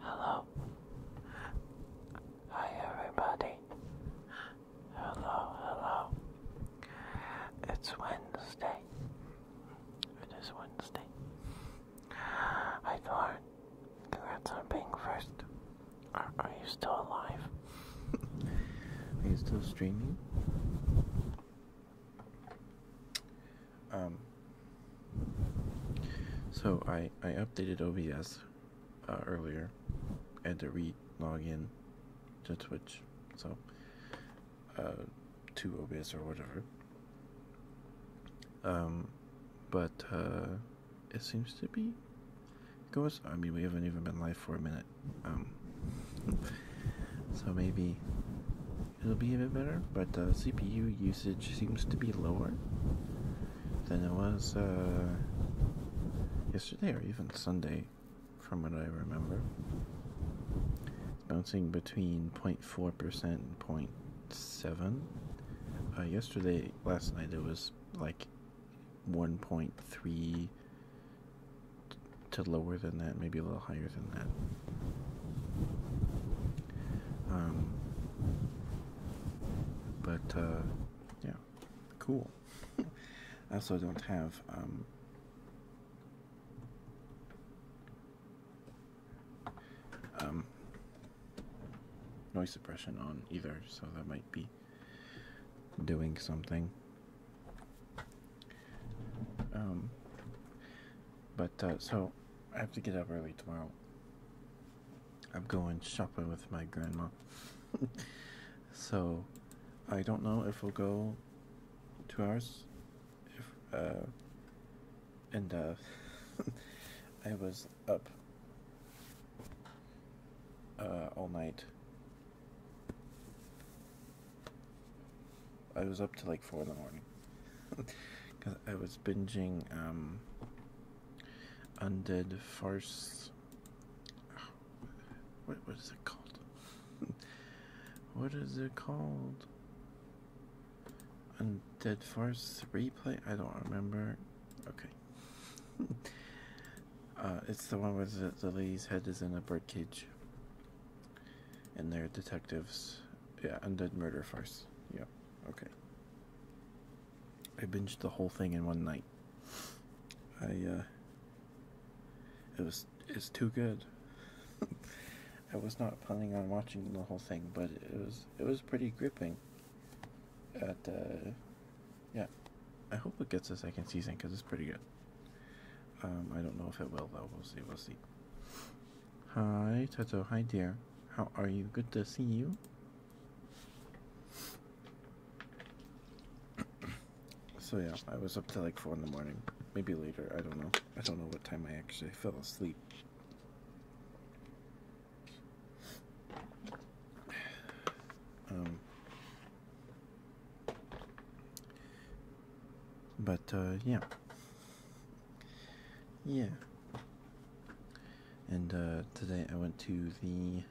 Hello. Hi everybody. Hello, hello. It's Wednesday. It is Wednesday. Hi Thorn. Congrats on being first. are you still alive? Are you still streaming? Um, so I, I updated OBS uh, earlier. I had to re login to Twitch. So, uh, to OBS or whatever. Um, but, uh, it seems to be Because I mean, we haven't even been live for a minute. Um, so maybe it'll be a bit better, but uh, CPU usage seems to be lower than it was uh, yesterday or even Sunday, from what I remember. It's bouncing between 0.4% and 0.7. Uh, yesterday, last night, it was like 1.3 to lower than that, maybe a little higher than that. Um, but uh, yeah, cool. I also don't have um, um, noise suppression on either, so that might be doing something. Um, but uh, so I have to get up early tomorrow. I'm going shopping with my grandma. so I don't know if we'll go two hours. If, uh, and uh, I was up uh, all night I was up to like four in the morning because I was binging um, Undead Farce. what what is it called? what is it called? Undead Farce replay? I don't remember. Okay. uh, it's the one where the, the lady's head is in a bird cage and they're detectives. Yeah, Undead Murder Farce. Yeah, Okay. I binged the whole thing in one night. I uh it was it's too good. I was not planning on watching the whole thing, but it was it was pretty gripping. At uh yeah. I hope it gets a second season cuz it's pretty good. Um, I don't know if it will though. We'll see. We'll see. Hi, Tato. Hi, dear. How are you? Good to see you. So yeah, I was up till like four in the morning, maybe later. I don't know. I don't know what time I actually fell asleep. Um, but uh, yeah, yeah. And uh, today I went to the.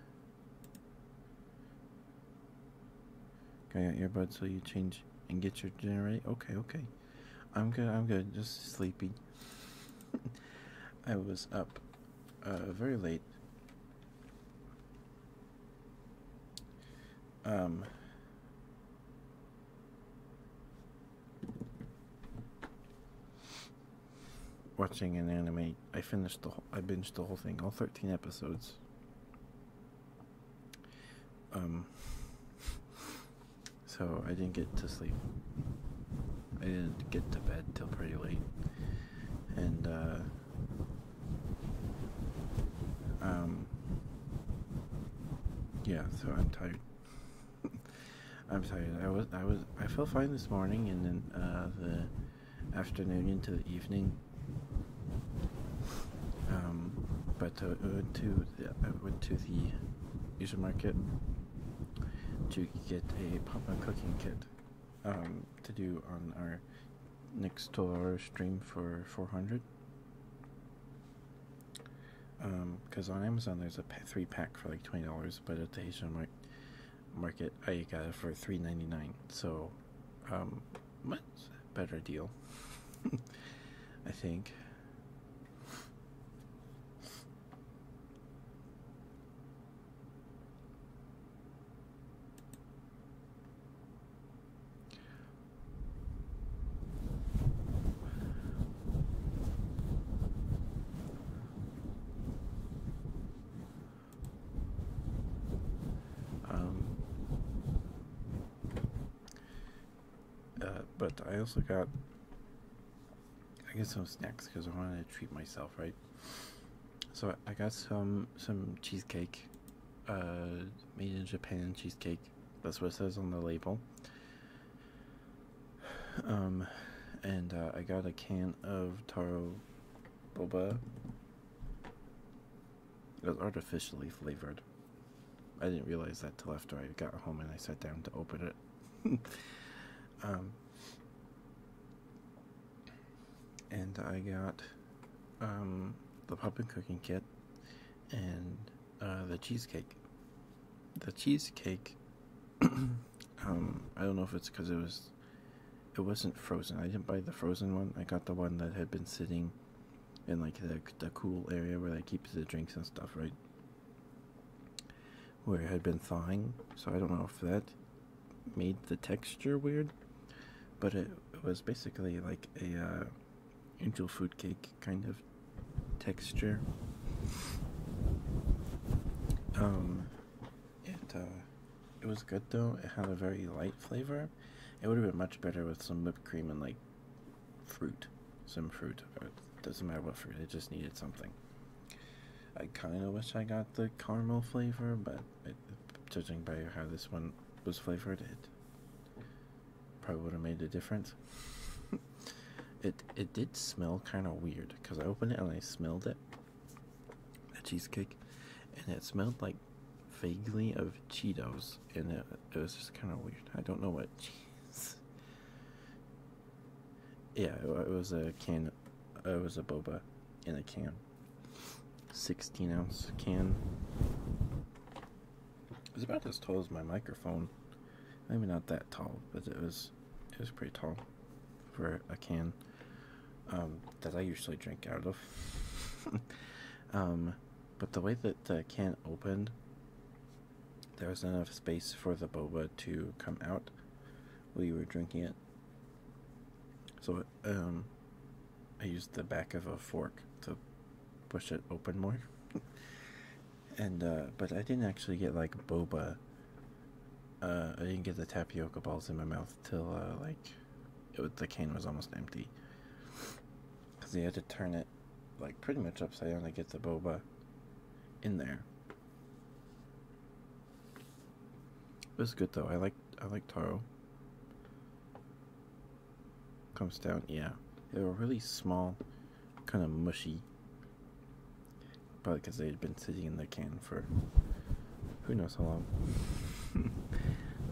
Can I got earbuds so you change and get your generator? Okay, okay. I'm good. I'm good. Just sleepy. I was up uh, very late um, watching an anime. I finished the whole, I binged the whole thing, all 13 episodes. Um so I didn't get to sleep. I didn't get to bed till pretty late. And uh um, yeah, so I'm tired. I'm tired. I was, I was, I felt fine this morning, and then uh, the afternoon into the evening. Um, but uh, I went to the, went to the Asian market to get a popcorn cooking kit um, to do on our next 12 hour stream for 400. Because um, on Amazon there's a three pack for like twenty dollars, but at the Asian mar market I got it for three ninety nine. So, um, much better deal, I think. Um, uh, but I also got, I guess, some snacks because I wanted to treat myself, right? So I got some some cheesecake uh, made in Japan cheesecake. That's what it says on the label. Um, and uh, I got a can of taro boba. It was artificially flavored. I didn't realize that till after I got home and I sat down to open it. um, and I got um, the pumpkin cooking kit and uh, the cheesecake. The cheesecake, um, I don't know if it's because it was, it wasn't frozen. I didn't buy the frozen one. I got the one that had been sitting in like the the cool area where they keep the drinks and stuff, right? Where it had been thawing. So I don't know if that made the texture weird, but it, was basically like a. Uh, angel food cake kind of texture. Um, uh, it was good though. It had a very light flavor. It would have been much better with some whipped cream and like fruit, some fruit. Uh, doesn't matter what fruit. It just needed something. I kind of wish I got the caramel flavor, but judging by how this one was flavored, it Probably would have made a difference. it it did smell kind of weird because I opened it and I smelled it, a cheesecake, and it smelled like vaguely of Cheetos, and it, it was just kind of weird. I don't know what cheese. Yeah, it was a can. It was a boba in a can. 16 ounce can. It was about as tall as my microphone. Maybe not that tall, but it was it was pretty tall for a can um, that I usually drink out of. Um, but the way that the can opened, there was enough space for the boba to come out. while you were drinking it, so um, I used the back of a fork to push it open more. and uh but I didn't actually get like boba. Uh I didn't get the tapioca balls in my mouth till uh like the can was almost empty. Cuz they had to turn it like pretty much upside down to get the boba in there. It was good though. I like I like taro comes down. Yeah, they are really small, kind of mushy. Probably because they had been sitting in the can for who knows how long.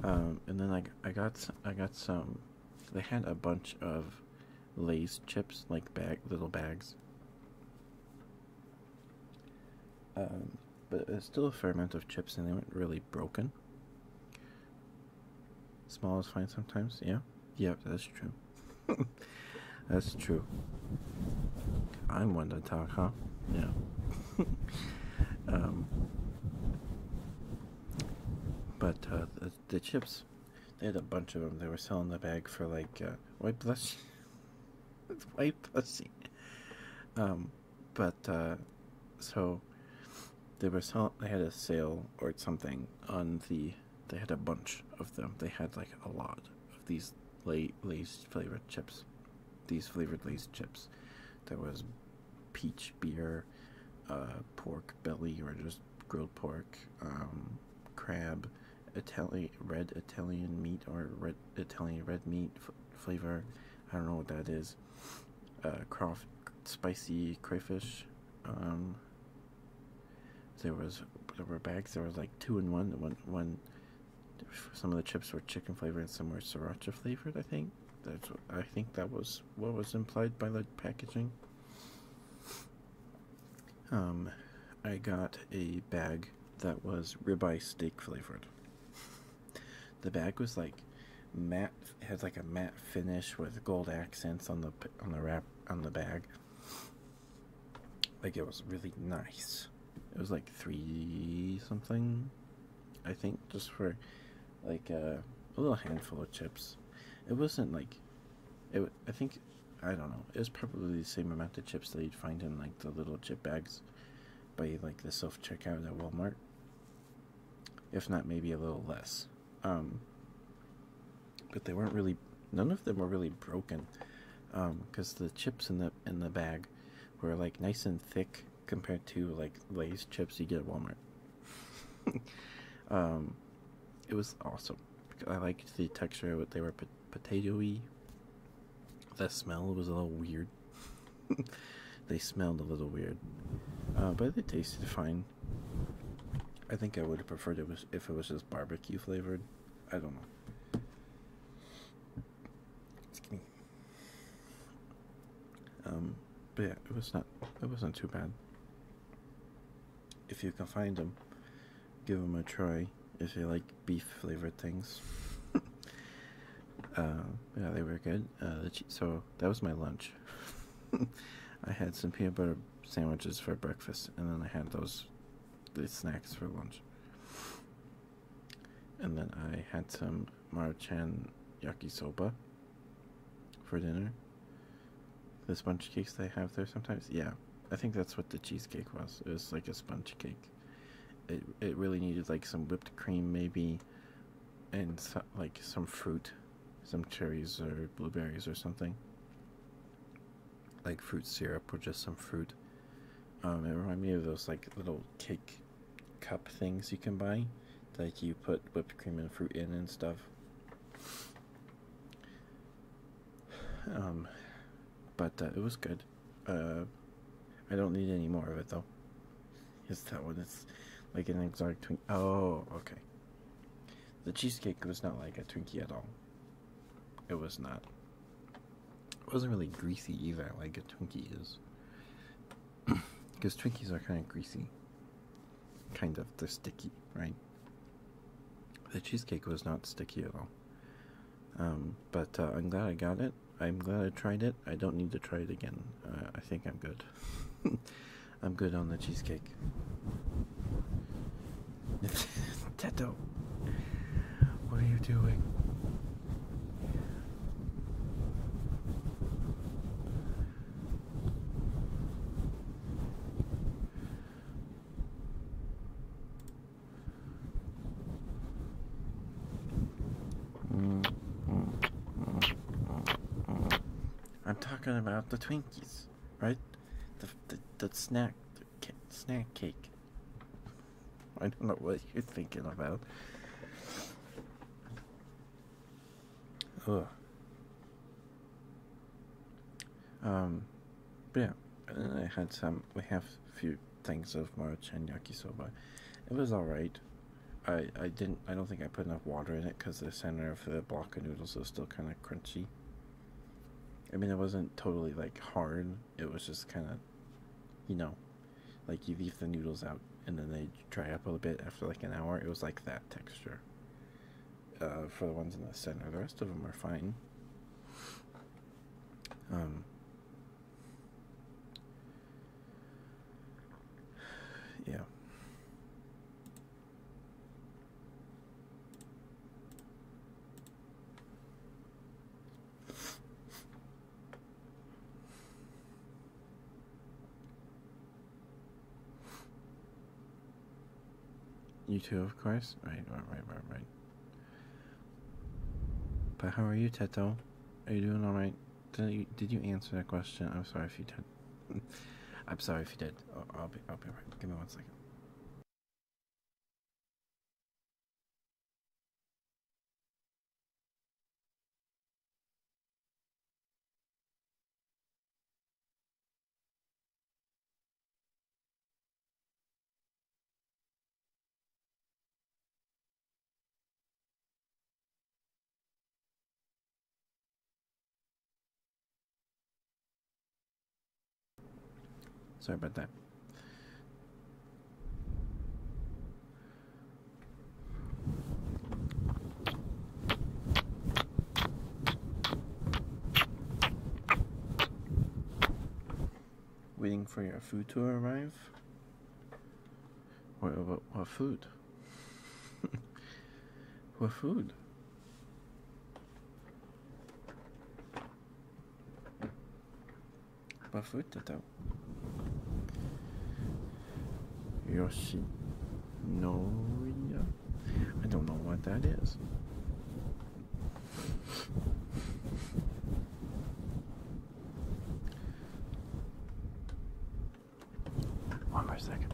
Um, and then I I got I got some. They had a bunch of Lay's chips, like bag little bags. Um, but there's still a fair amount of chips, and they weren't really broken. Small is fine sometimes. Yeah. Yep, that's true. that's true. I'm one to talk, huh? Yeah. um, but uh, the, chips, they had a bunch of them. They were selling the bag for like uh, white plus, white pussy. Um, but uh, so they were sell they had a sale or something on the they had a bunch of them they had like a lot of these late lace flavored chips these flavored lace chips there was peach beer uh, pork belly or just grilled pork um, crab italian red italian meat or red italian red meat flavor i don't know what that is uh, crawf spicy crayfish. Um, there was there were bags. There was like two in one. One one. Some of the chips were chicken flavored and some were sriracha flavored. I think that's. I think that was what was implied by the packaging. Um, I got a bag that was ribeye steak flavored. The bag was like matte has like a matte finish with gold accents on the on the wrap on the bag. Like it was really nice. It was like three something, I think, just for like a, uh, a little handful of chips. It wasn't like it. I think I don't know. It was probably the same amount of chips that you'd find in like the little chip bags by like the self checkout at Walmart. If not, maybe a little less um, but they weren't really none of them were really broken because um, the chips in the in the bag were like nice and thick compared to like Lay's chips you get at Walmart. um, it was awesome. I liked the texture. They were pot potatoey. The smell was a little weird. they smelled a little weird, uh, but they tasted fine. I think I would have preferred it if it was just barbecue flavored. I don't know. Excuse me. Um, but yeah, it was not. It wasn't too bad. If you can find them, give them a try. If you like beef flavored things. Uh, yeah, they were good. Uh, so that was my lunch. I had some peanut butter sandwiches for breakfast, and then I had those the snacks for lunch. And then I had some Maruchan yakisoba for dinner. The sponge cakes they have there sometimes, yeah. I think that's what the cheesecake was. It was like a sponge cake. It it really needed like some whipped cream maybe, and like some fruit some cherries or blueberries or something like fruit syrup or just some fruit um, it reminded me of those like little cake cup things you can buy like you put whipped cream and fruit in and stuff um, but uh, it was good uh, I don't need any more of it though is that one? it's like an exotic Twinkie? Oh, okay. The cheesecake was not like a Twinkie at all. It was not. It wasn't really greasy either, like a Twinkie is. Because Twinkies are kind of greasy. Kind of. the sticky, right? The cheesecake was not sticky at all. Um, but uh, I'm glad I got it. I'm glad I tried it. I don't need to try it again. Uh, I think I'm good. I'm good on the cheesecake. Teto, what are you doing? I'm talking about the Twinkies, right? The the, the snack snack cake. I don't know what you're thinking about. Ugh. Um, but yeah, I had some. We have a few things of maruchan yakisoba. It was all right. I, I didn't I don't think I put enough water in it because the center of the block of noodles was still kind of crunchy. I mean it wasn't totally like hard. It was just kind of, you know, like you leave the noodles out and then they dry up a little bit after like an hour. It was like that texture. Uh, for the ones in the center, the rest of them are fine. Um. Yeah. You too, of course. Right, right, right, right, right. But how are you, Teto? Are you doing all right? Did you did you answer that question? I'm sorry if you did. I'm sorry if you did. I'll, I'll be. I'll be right. Give me one second. Sorry about that. Waiting for your food to arrive? What, what, what food? what food? Vad fort Yoshi. No, yeah. I don't know what that is. One more second.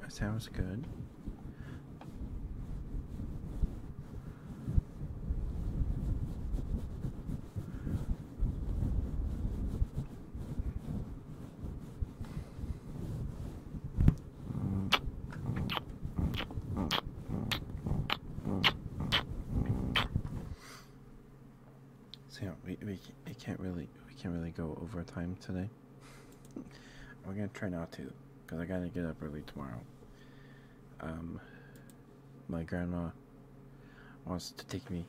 That sounds good. So yeah, we we it can't really we can't really go overtime today. We're gonna try not to, cause I gotta get up early tomorrow. Um, my grandma wants to take me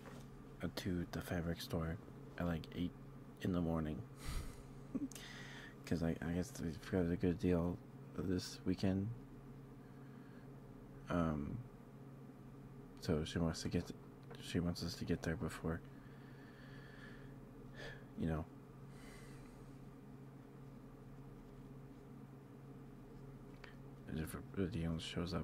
uh, to the fabric store at like 8 in the morning. Because I, I guess we've got a good deal this weekend. Um, so she wants to get, she wants us to get there before, you know. If Dion shows up,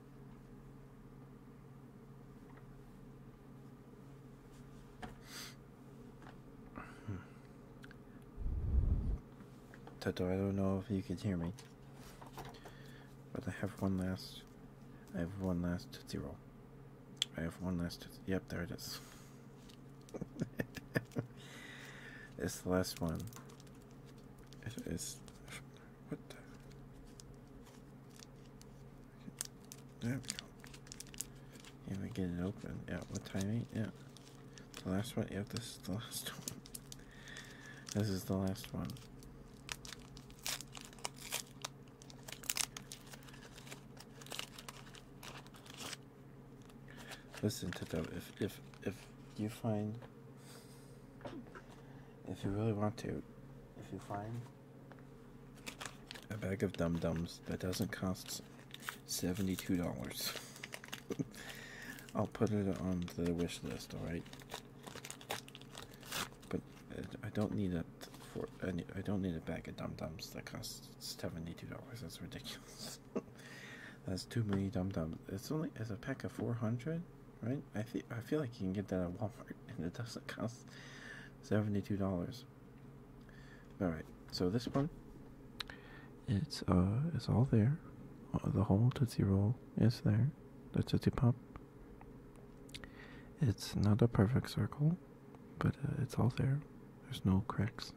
Toto, I don't know if you can hear me, but I have one last. I have one last Tootsie Roll. I have one last Yep, there it is. it's the last one. It is. What the? There we go. And we get it open. Yeah, what timing? Yeah. The last one? Yeah, this is the last one. This is the last one. Listen to them. If if if you find if you really want to, if you find a bag of dum dums that doesn't cost seventy-two dollars. I'll put it on the wish list. All right, but uh, I don't need it for I don't need a bag of dum dums that costs seventy-two dollars. That's ridiculous. That's too many dum dums. It's only it's a pack of four hundred right? I think I feel like you can get that at Walmart, and it doesn't cost seventy-two dollars. All right, so this one, it's uh, it's all there. Uh, the whole Tootsie Roll is there. The Tootsie Pop. It's not a perfect circle, but uh, it's all there. There's no cracks.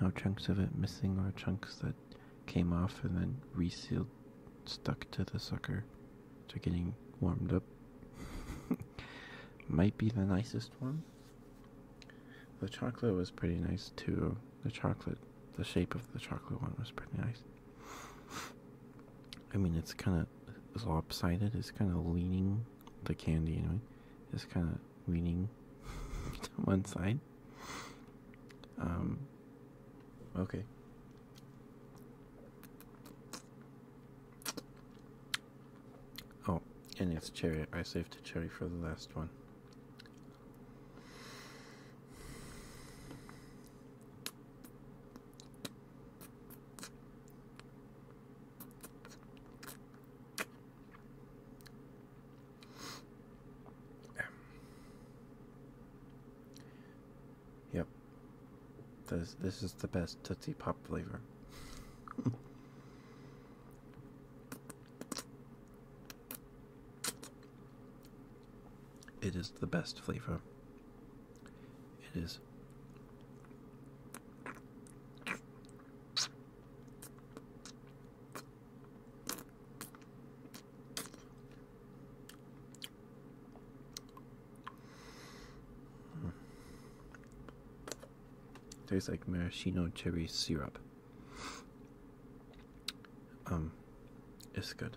No chunks of it missing or chunks that came off and then resealed, stuck to the sucker. They're getting warmed up. Might be the nicest one. The chocolate was pretty nice too. The chocolate, the shape of the chocolate one was pretty nice. I mean, it's kind of lopsided. It's kind of leaning the candy, anyway. It's kind of leaning to one side. Um. Okay. Oh, and it's cherry. I saved cherry for the last one. Yep, this, this is the best Tootsie Pop flavor. it is the best flavor. It is. Tastes like maraschino cherry syrup. Um, it's good.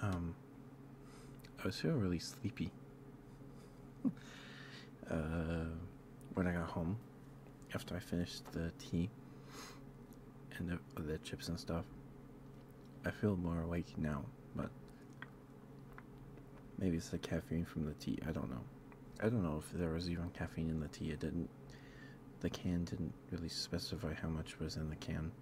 Um, I was feeling really sleepy. uh, when I got home, after I finished the tea and the, the chips and stuff, I feel more awake now, but maybe it's the caffeine from the tea. I don't know. I don't know if there was even caffeine in the tea. It didn't. The can didn't really specify how much was in the can.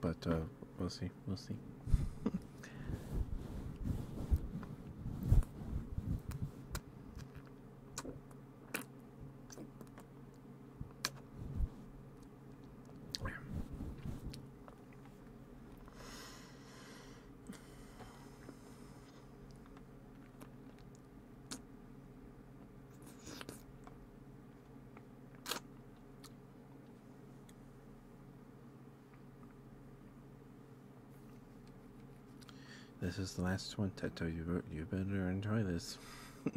But uh, we'll see. We'll see. This is the last one, Teto. You, you better enjoy this.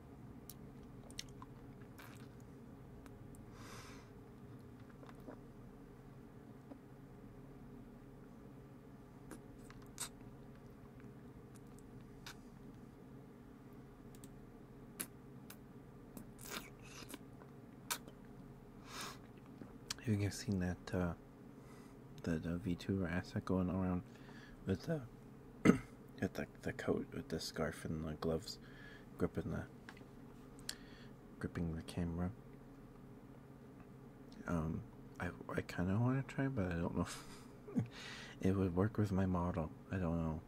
Have you guys seen that uh, that uh, asset going around with the with the coat with the scarf and the gloves gripping the gripping the camera. Um, I I kind of want to try, but I don't know. if It would work with my model. I don't know.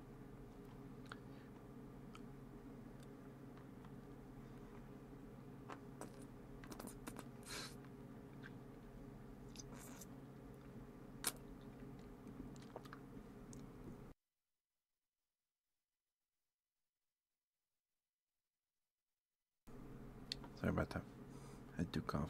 Sorry about that. I do cough.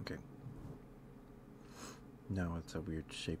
Okay. Now it's a weird shape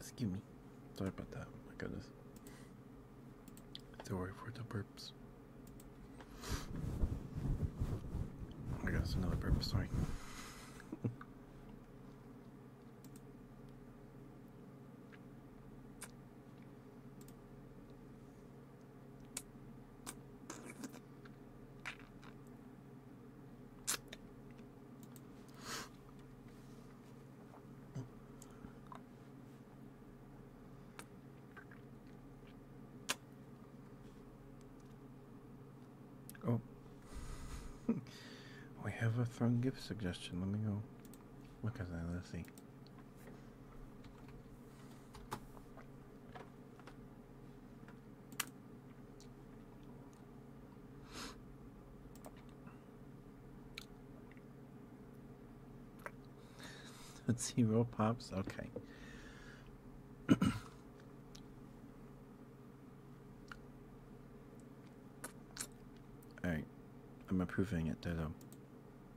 Excuse me. Sorry about that. My goodness. Sorry for the burps. I guess another burp. Sorry. Oh, we have a thrown gift suggestion. Let me go look at that. Let's see. Let's Zero pops? Okay. Alright. I'm approving it, though.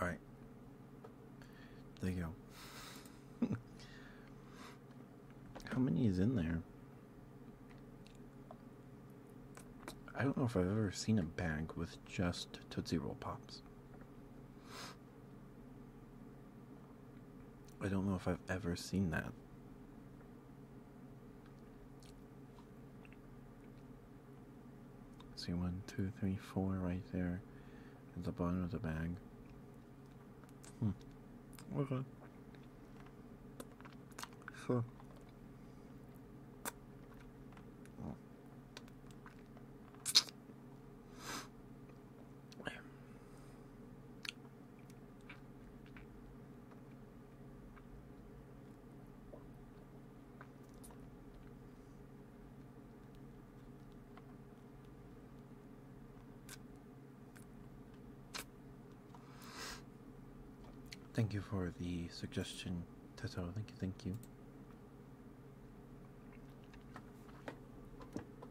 All right. There you go. How many is in there? I don't know if I've ever seen a bag with just Tootsie Roll Pops. I don't know if I've ever seen that. See one, two, three, four right there at the bottom of the bag. Hmm. Okay. So. Thank you for the suggestion, Tato. Thank you, thank you.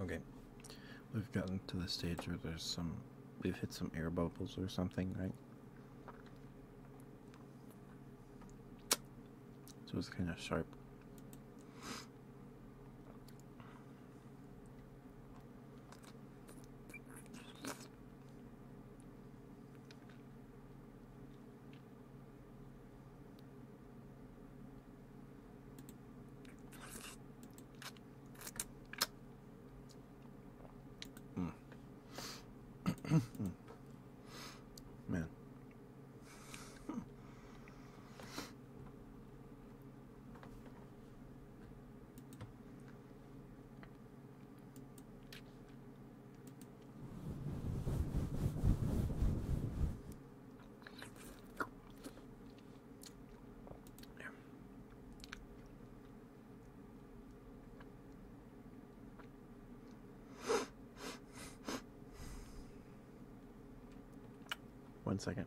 Okay, we've gotten to the stage where there's some, we've hit some air bubbles or something, right? So it's kind of sharp. Hmm. Man. One second.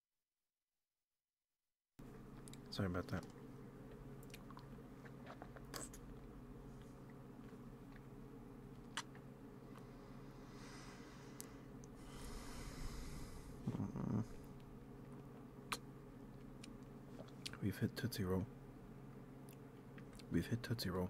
Sorry about that. We've hit Tootsie Roll. We've hit Tootsie Roll.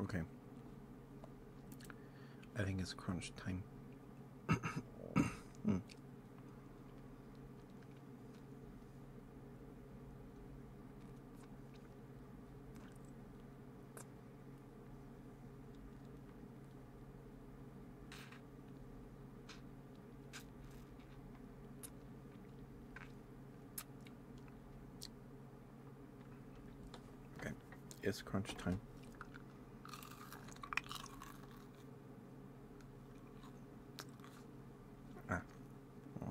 Okay. I think it's crunch time. Mm. Okay, it's crunch time. Ah. Ah.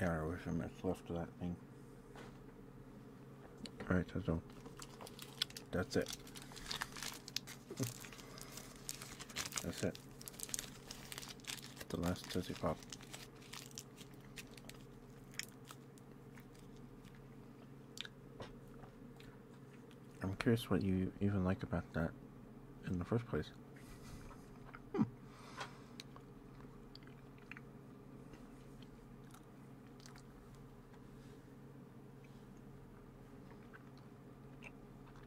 Yeah, I wish I much left of that thing. Alright, so that's it. That's it. The last Tootsie Pop. I'm curious what you even like about that in the first place.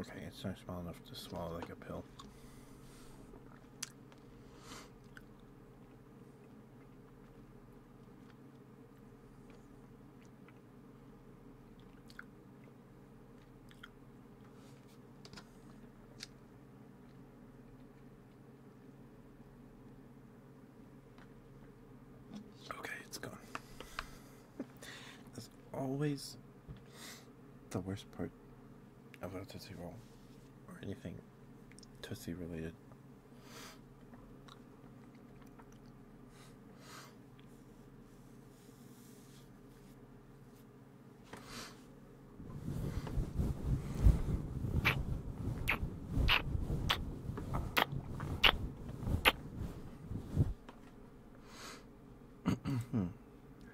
Okay, it's not small enough to swallow like a pill. Okay, it's gone. That's always the worst part about Tootsie Roll or anything Tootsie related.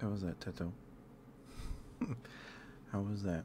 How was that, Teto? How was that?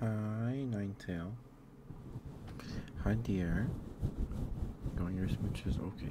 Hi, Tail. Hi, dear. Going your smooches? Okay.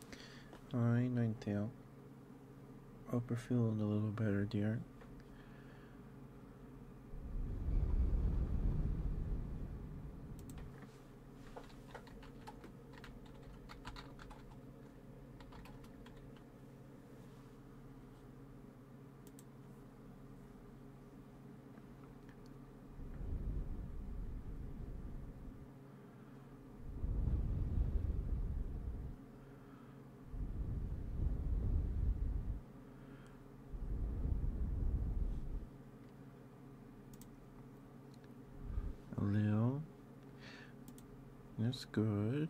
Alright, Ninetale. Hope you're feeling a little better, dear. A little. That's good.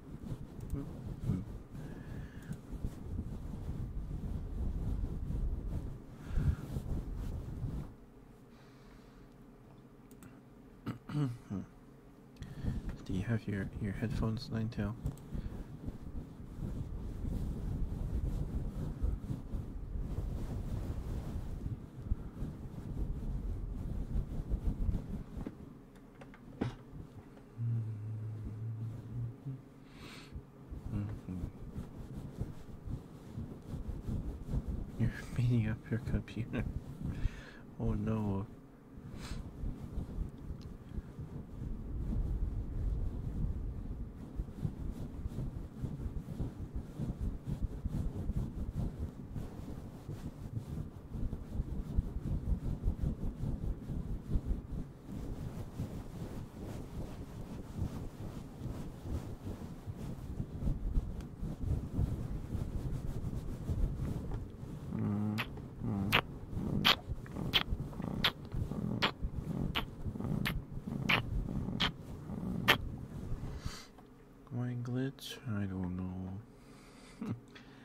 Hmm. Do you have your your headphones, Ninetail? You're beating up your computer. Oh no. Wine glitch? I don't know.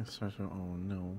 It starts with oh no.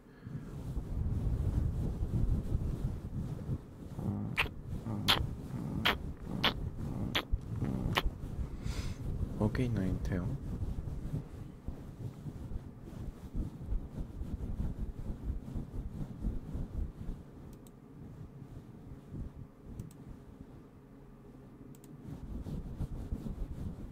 Okay, Ninetale.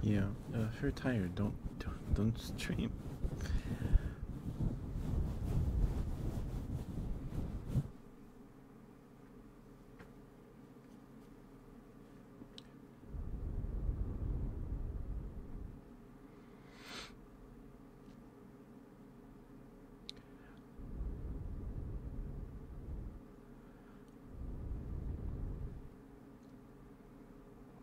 Yeah, uh, if you're tired, don't don't stream.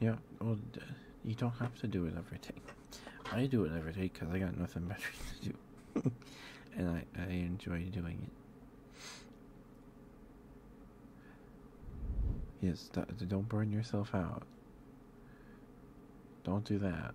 Yeah, well, you don't have to do it every day. I do it every day because I got nothing better to do, and I I enjoy doing it. Yes, don't burn yourself out. Don't do that.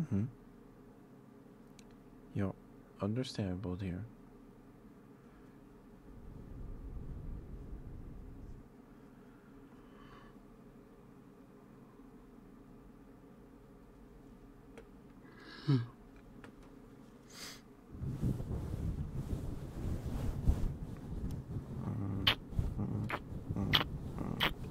Mm-hmm. you understandable, dear. Hmm. Mm -mm, mm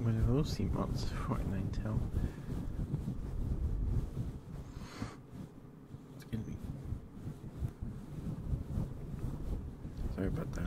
What will those months before tell. Excuse me. Sorry about that.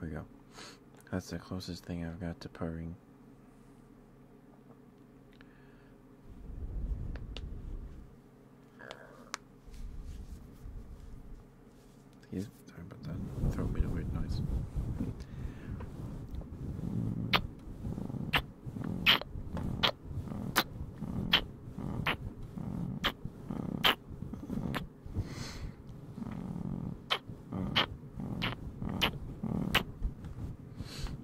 There we go. That's the closest thing I've got to purring sorry about that. Throw me the weird noise.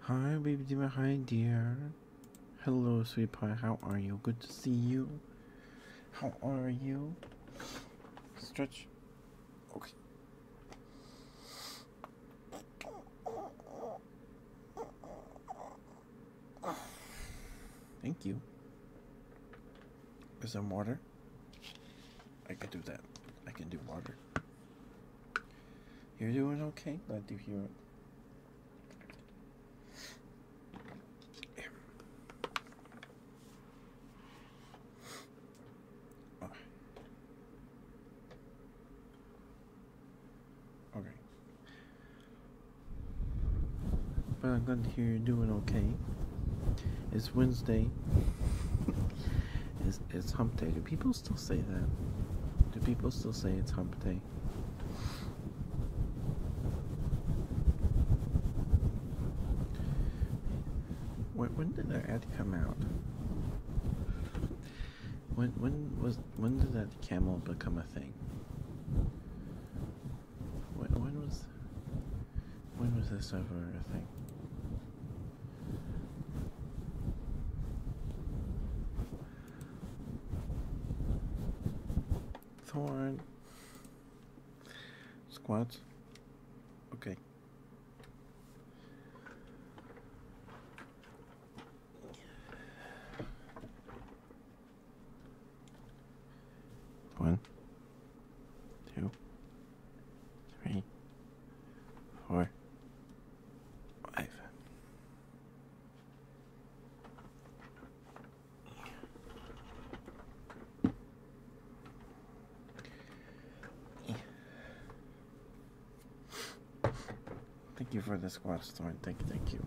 Hi, baby Dima. Hi, dear. Hello, sweet pie. How are you? Good to see you. How are you? Stretch. Okay. Thank you. Is there water? I can do that. I can do water. You're doing okay? Glad to hear it. Oh. Okay. But I'm glad to hear you're doing okay. It's Wednesday. it's, it's hump day. Do people still say that? Do people still say it's hump day? When, when did that ad come out? When when was when did that camel become a thing? When, when was when was this over? I think. Thorn squats. Okay. One, two, three, four, five. Thank you for this squad storm. Thank you, thank you.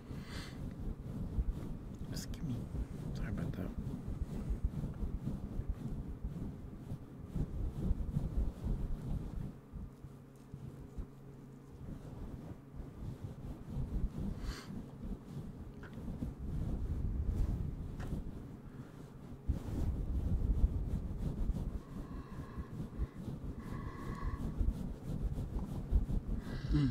Just give me. Sorry about that. Mm.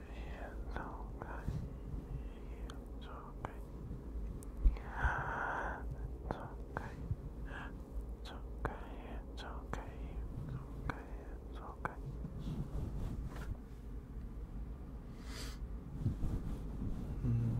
feels okay. It's okay. It's okay. It's okay. It's okay. It's okay. It's okay. Mm.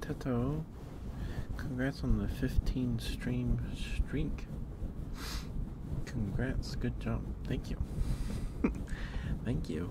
Teto, congrats on the 15 stream streak. Congrats, good job. Thank you. Thank you.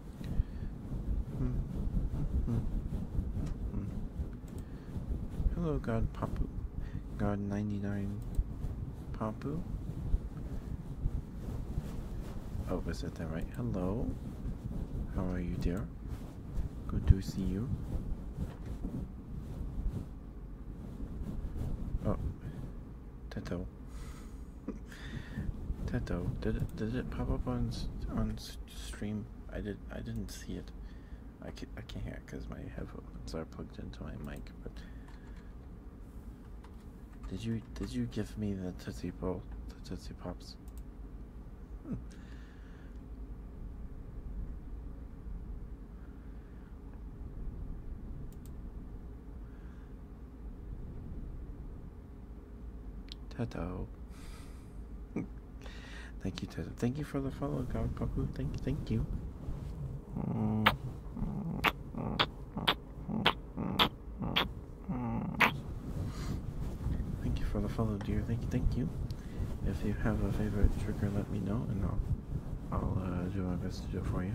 Hmm. Hmm. Hmm. Hello, God Papu. God 99 Papu. Oh, was that that right? Hello. How are you, dear? Good to see you. Oh, Tato, Tato, did it did it pop up on on stream? I did. I didn't see it. I can't. I can't hear it because my headphones are plugged into my mic. But did you? Did you give me the tootsie Pop? The tootsie pops. Toto. thank you, Toto. Thank you for the follow, Kawapapu. Thank you, thank you. Thank you for the follow, dear. Thank you, thank you. If you have a favorite trigger, let me know, and I'll I'll uh, do my best to do it for you.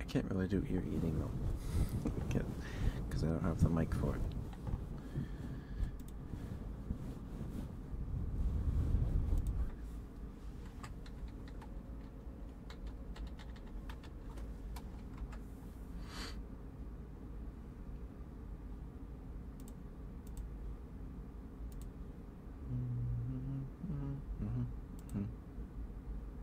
I can't really do ear eating though, because I don't have the mic for it. Mm-hmm, mm-hmm, mm-hmm.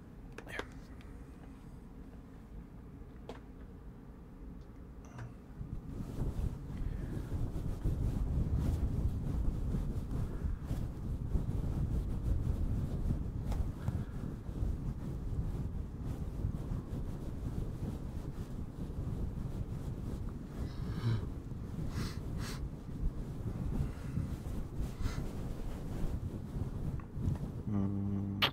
Here. Mm.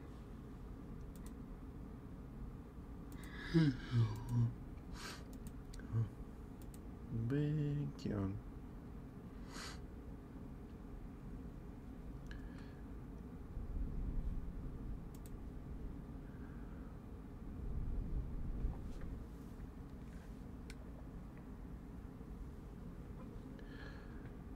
Big Bacon.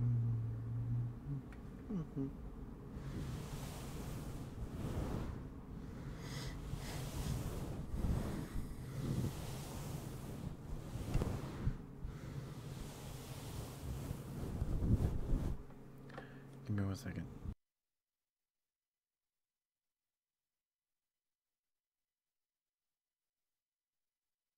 Mm-hmm. Give me one second.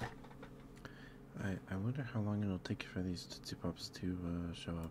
I I wonder how long it'll take for these Tootsie Pops to uh, show up.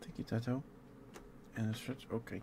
Thank you, Tato. And a stretch? Okay.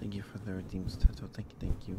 Thank you for the redeems tattoo. Thank you, thank you.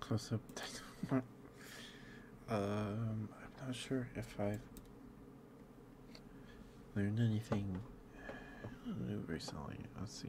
Close up. um, I'm not sure if I've learned anything recently. I'll see.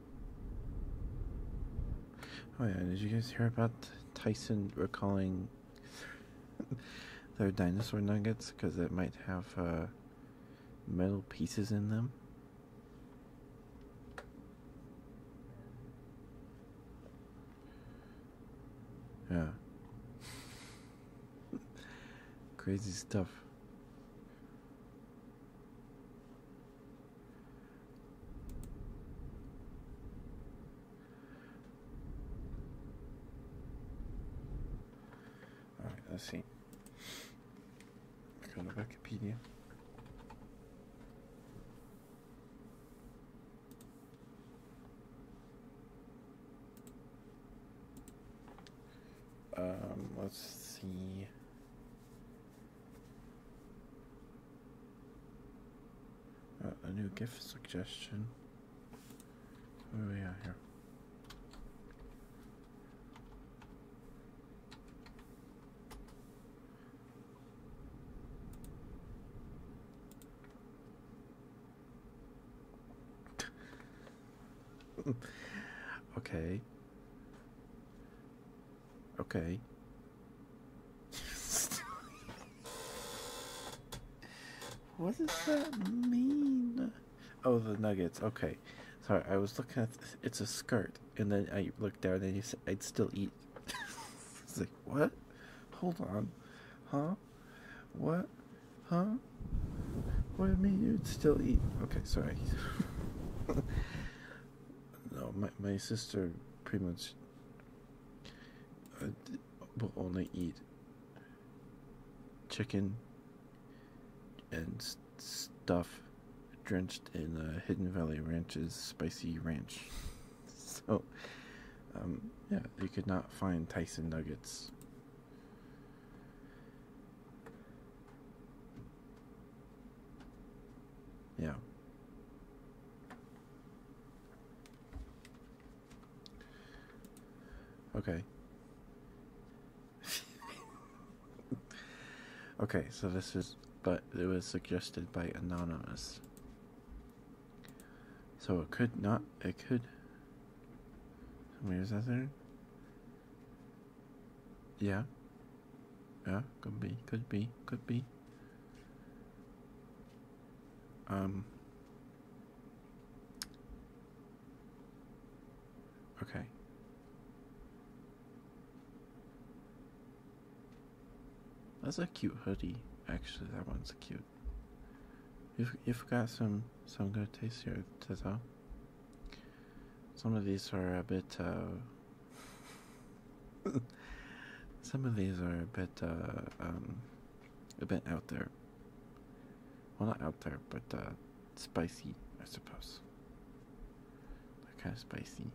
Oh yeah, did you guys hear about Tyson recalling their dinosaur nuggets because it might have uh, metal pieces in them? Yeah. Crazy stuff. All right, let's see. Go to Wikipedia. Um, let's see. Uh, a new gift suggestion. Oh yeah. here? okay. Okay. what does that mean? Oh, the nuggets. Okay. Sorry, I was looking at it's a skirt, and then I looked down and you said I'd still eat. it's like what? Hold on, huh? What? Huh? What do you mean you'd still eat? Okay, sorry. no, my my sister pretty much uh, will only eat chicken and stuff drenched in uh, Hidden Valley Ranch's spicy ranch. so, um, yeah, you could not find Tyson nuggets. Yeah. Okay. okay, so this is, but it was suggested by Anonymous. So it could not, it could. Where's that there? Yeah. Yeah, could be, could be, could be. Um Okay. That's a cute hoodie. Actually, that one's cute. You've you've got some some good taste here, Tessa. Some of these are a bit uh some of these are a bit, uh, um, a bit out there. Well, not out there, but uh, spicy, I suppose. kind of spicy.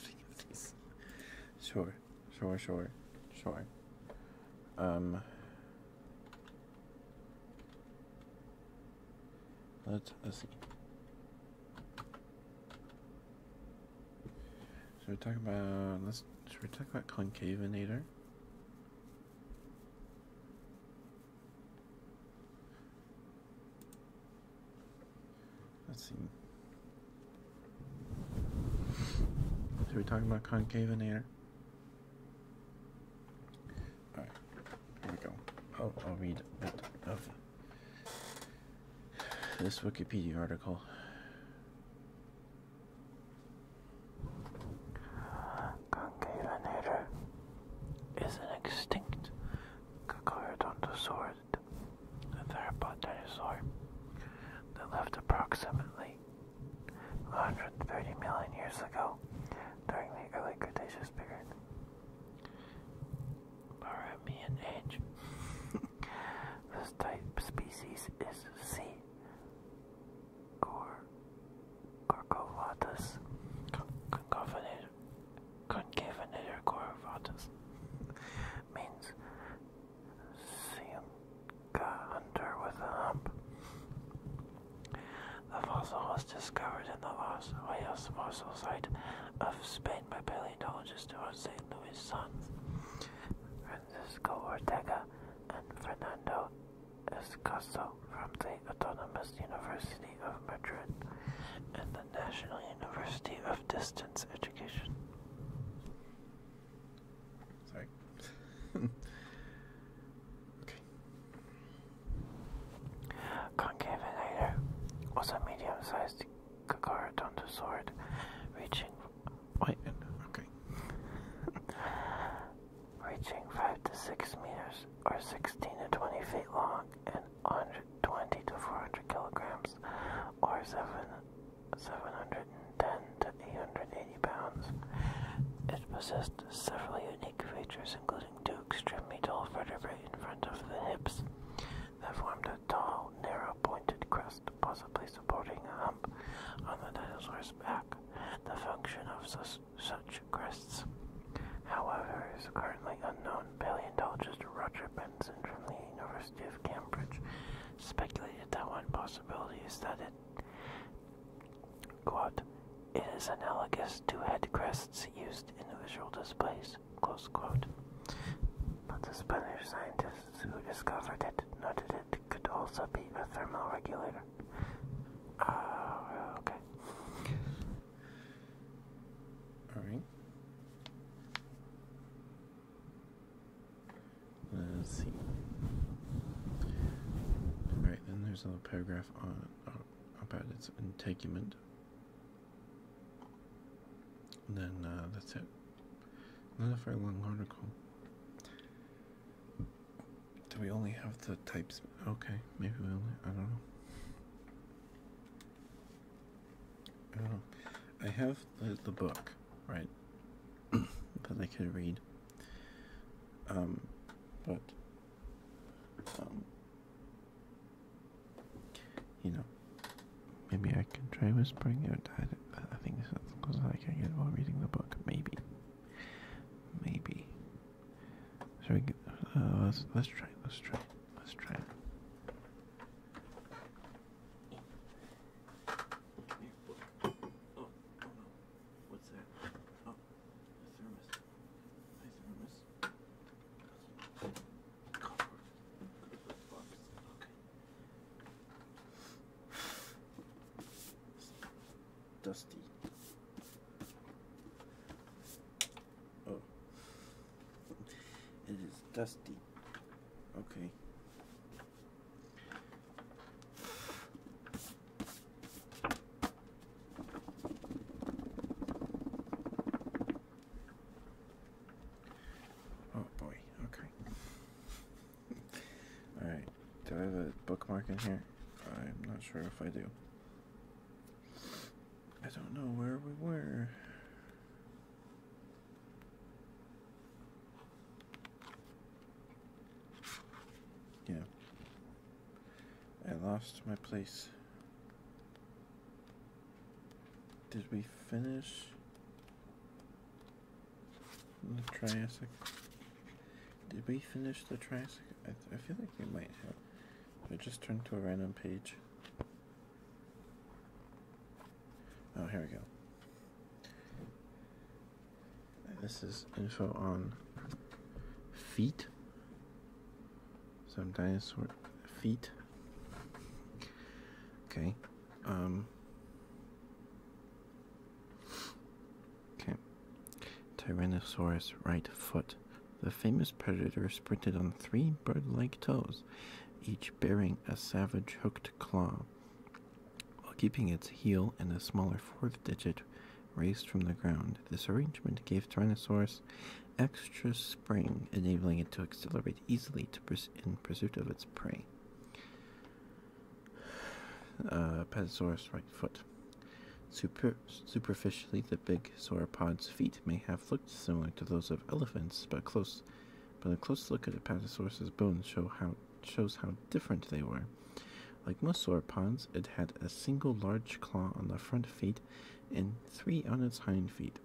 Sure, sure, sure, sure. Um, let's, let's see. Should we talk about let's should we talk about concavenator? Let's see. So we're talking about concave and air. Alright, here we go. Oh, I'll read a bit of this Wikipedia article. Concavenator is an extinct Cacarodontosaur north, the third blood dinosaur that lived approximately 130 million years ago during the early Cretaceous period. Barremian age. this type species is C. Corcovatus. Concavenator Corvatus means Siamka hunter with a hump. The fossil was discovered in the Los Hoyos fossil site of Spain by paleontologists Juan St. Louis' sons, Francisco Ortega and Fernando Escaso from the Autonomous University of Madrid and the National University of Distance Education. Sorry. okay. Concavinator was a medium-sized Kakarodontosaur reaching. Wait. Okay. reaching five to six meters, or sixteen to twenty feet long, and 120 to 400 kilograms, or seven 710 to 880 pounds. It possessed several unique features, including two extremely tall vertebrae in front of the hips that formed a tall, narrow, pointed crest, possibly supporting a hump on the dinosaur's back. The function of such crests, however, is currently unknown. Paleontologist Roger Benson from the University of Cambridge speculated that one possibility is that it, quote, it is analogous to head crests used in visual displays, close quote. But the Spanish scientists who discovered it noted it could also be a thermal regulator. Uh, okay. Alright. Let's see. Alright, then there's a little paragraph on uh, about its integument. then uh, that's it. Not a very long article. Do we only have the types? Okay, maybe we only. I don't know. I don't know. I have the, book, right, that I can read. Um, but, um, you know, maybe I can try whispering it. I, think that's because I can get while reading the book. Maybe. Maybe. Should we get, uh, let's try, let's try, let's try. Oh, no. What's that? Oh, a thermos. A thermos. Dusty. Oh. It is dusty. Okay. Oh boy, okay. Alright, do I have a bookmark in here? I'm not sure if I do. I don't know where we were. Yeah. I lost my place. Did we finish the Triassic? Did we finish the Triassic? I, I feel like we might have. I just turned to a random page. Oh, here we go. This is info on feet. Some dinosaur feet. Okay. Um, okay. Tyrannosaurus right foot. The famous predator sprinted on three bird like toes, each bearing a savage hooked claw while keeping its heel and the smaller fourth digit raised from the ground. This arrangement gave Tyrannosaurus extra spring, enabling it to accelerate easily in pursuit of its prey. Uh, Patasaurus right foot. superficially, the big sauropod's feet may have looked similar to those of elephants, but a close look at a patasaurus's bones show how shows how different they were. Like most sauropods, it had a single large claw on the front feet and three on its hind feet.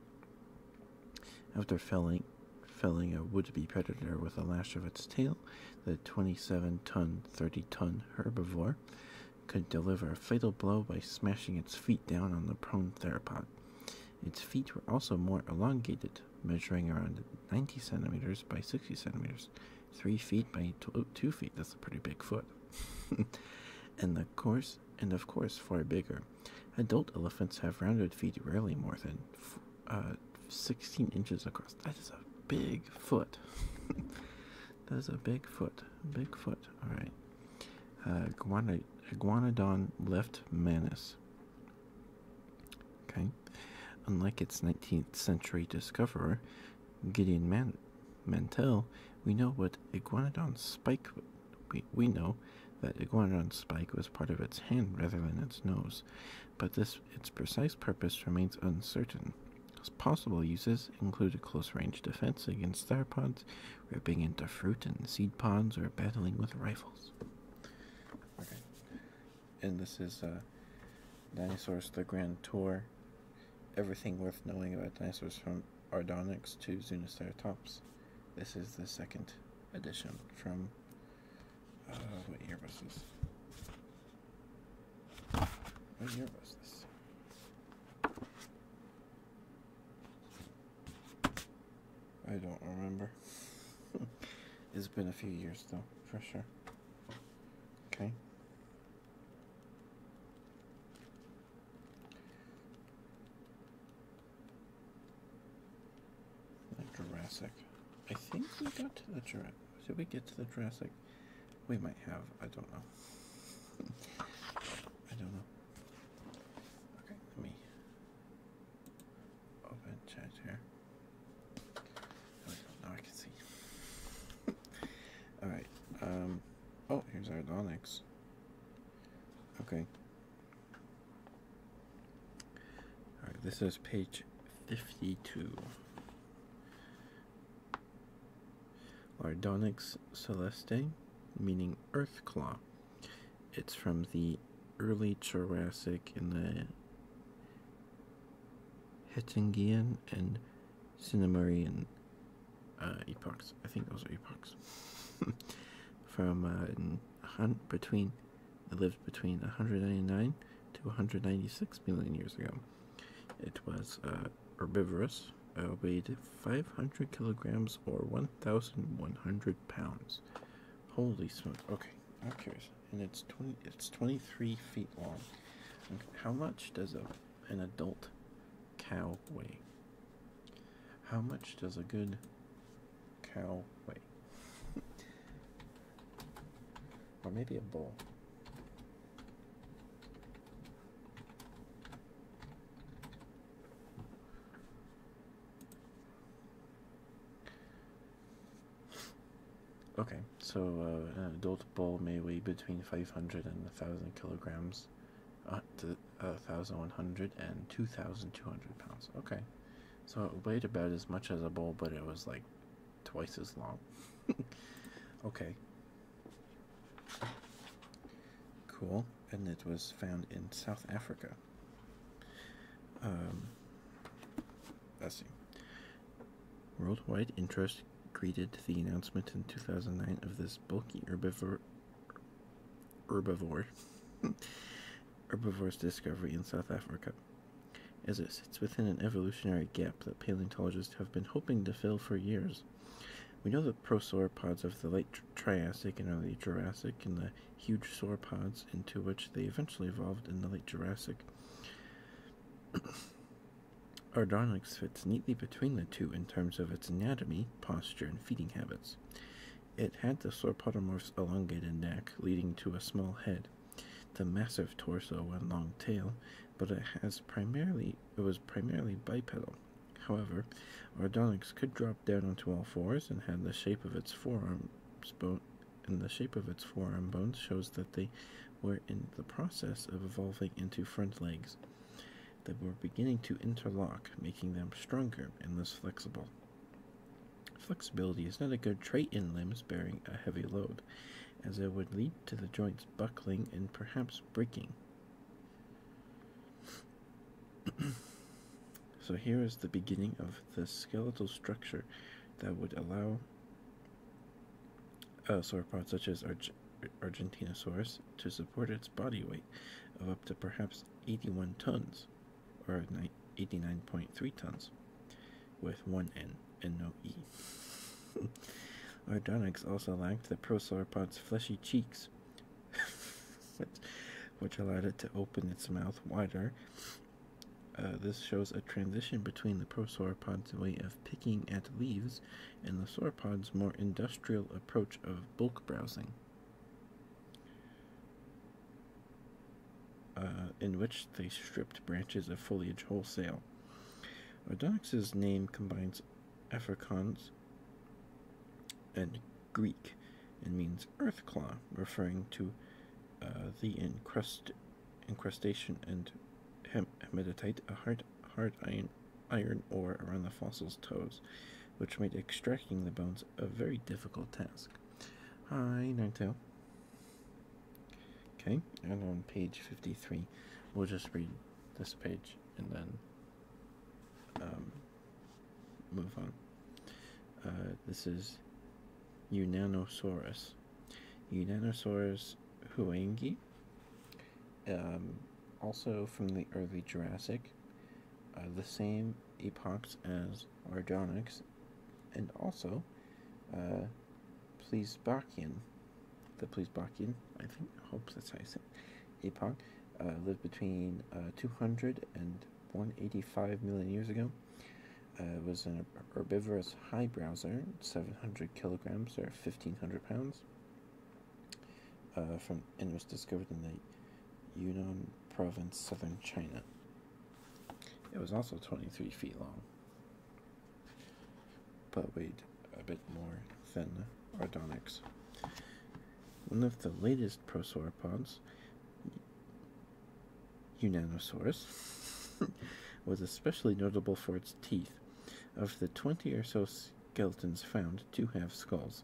After felling, felling a would-be predator with a lash of its tail, the 27-ton, 30-ton herbivore could deliver a fatal blow by smashing its feet down on the prone theropod. Its feet were also more elongated, measuring around 90 centimeters by 60 centimeters, 3 feet by 2 feet. That's a pretty big foot. and, of course, and of course, far bigger. Adult elephants have rounded feet rarely more than uh, 16 inches across. That is a big foot. that is a big foot. Big foot. All right. Iguanodon uh, left manus unlike its 19th century discoverer, Gideon Mantell, we know what Iguanodon spike. We, know that Iguanodon's spike was part of its hand rather than its nose, but its precise purpose remains uncertain. Its possible uses include close-range defense against theropods, ripping into fruit and seed pods, or battling with rifles and this is uh, Dinosaurs the Grand Tour. Everything worth knowing about dinosaurs from Ardonyx to Zuniceratops. This is the second edition from. Uh, what year was this? What year was this? I don't remember. it's been a few years though, for sure. Okay. Jurassic. I think we got to the Jurassic. Did we get to the Jurassic? We might have. I don't know. I don't know. Okay, let me open chat here. Oh, now I can see. All right. Um. Oh, here's our Onyx. Okay. All right. This is page fifty-two. Ardonyx Celeste, meaning Earth Claw. It's from the early Jurassic in the Hettingian and Cinemarian uh, epochs. I think those are epochs. From uh, between, lived between 199 to 196 million years ago. It was uh, herbivorous, It uh, weighed 500 kilograms or 1,100 pounds. Holy smokes! Okay, I'm curious and it's twenty. It's twenty-three feet long. how much does a an adult cow weigh? How much does a good cow weigh? or maybe a bull. Okay, so uh, an adult bull may weigh between 500 and 1,000 kilograms, up uh, to uh, and 2,200 pounds. Okay, so it weighed about as much as a bull, but it was like twice as long. okay. Cool, and it was found in South Africa. Um, I see. Worldwide interest greeted the announcement in 2009 of this bulky herbivore herbivore herbivore's discovery in South Africa. As it sits within an evolutionary gap that paleontologists have been hoping to fill for years. We know the prosauropods of the late Triassic and early Jurassic and the huge sauropods into which they eventually evolved in the late Jurassic Ardonyx fits neatly between the two in terms of its anatomy, posture, and feeding habits. It had the sauropodomorph's elongated neck, leading to a small head, the massive torso and long tail, but it was primarily bipedal. However, Ardonyx could drop down onto all fours and had the shape of its forearms bone and the shape of its forearm bones shows that they were in the process of evolving into front legs. They were beginning to interlock, making them stronger and less flexible. Flexibility is not a good trait in limbs bearing a heavy load, as it would lead to the joints buckling and perhaps breaking. so, here is the beginning of the skeletal structure that would allow uh, sauropods such as Arge Argentinosaurus to support its body weight of up to perhaps 81 tons or 89.3 tons with one N and no E. Ardonyx also lacked the prosauropod's fleshy cheeks, which allowed it to open its mouth wider uh, this shows a transition between the prosauropod's way of picking at leaves and the sauropod's more industrial approach of bulk browsing, uh, in which they stripped branches of foliage wholesale. Odonyx's name combines Afrikaans and Greek and means earth claw, referring to uh, the encrusted incrustation and hematite, a hard, hard iron, iron ore around the fossil's toes, which made extracting the bones a very difficult task. Hi, Ninetale. Okay, and on page 53, we'll just read this page and then um, move on. Uh, this is Unanosaurus. Unanosaurus huengi, um, also from the early Jurassic, uh, the same epochs as Ardonyx, and also please uh, Plesbakian, the please Plesbakian, I think, I hope that's how you say it, epoch, uh, lived between uh, 200 and 185 million years ago. It uh, was an herbivorous high browser, 700 kilograms or 1500 pounds, uh, from, and was discovered in the Yunnan province, southern China. It was also 23 feet long, but weighed a bit more than Ardonyx. One of the latest prosauropods Unanosaurus was especially notable for its teeth. Of the 20 or so skeletons found, two have skulls,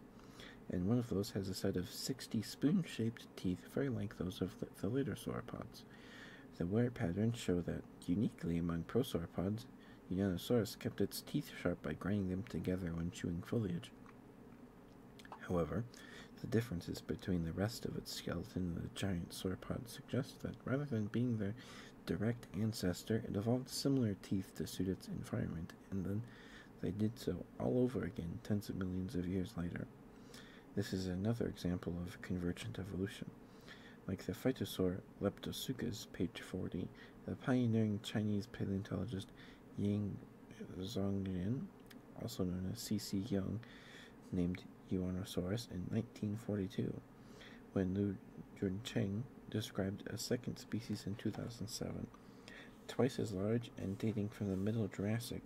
and one of those has a set of 60 spoon shaped teeth, very like those of the later sauropods. The wear patterns show that, uniquely among prosauropods, Unanosaurus kept its teeth sharp by grinding them together when chewing foliage. However, the differences between the rest of its skeleton and the giant sauropods. Just that rather than being their direct ancestor, it evolved similar teeth to suit its environment, and then they did so all over again tens of millions of years later. This is another example of convergent evolution. Like the phytosaur Leptosuchus, page 40, the pioneering Chinese paleontologist Ying Zhonglian, also known as C.C. Young, named Uranosaurus in 1942, when Liu Juncheng described a second species in 2007, twice as large and dating from the Middle Jurassic.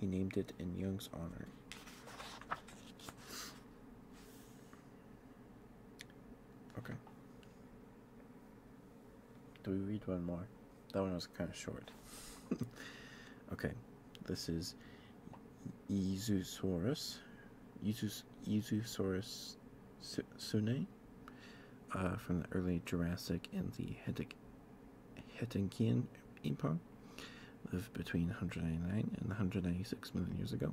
He named it in Young's honor. Okay. Do we read one more? That one was kind of short. okay. This is Ezusaurus, Ezus, Ezusaurus Sune, uh, from the early Jurassic and the Hettinkian Epoch, lived between 199 and 196 million years ago.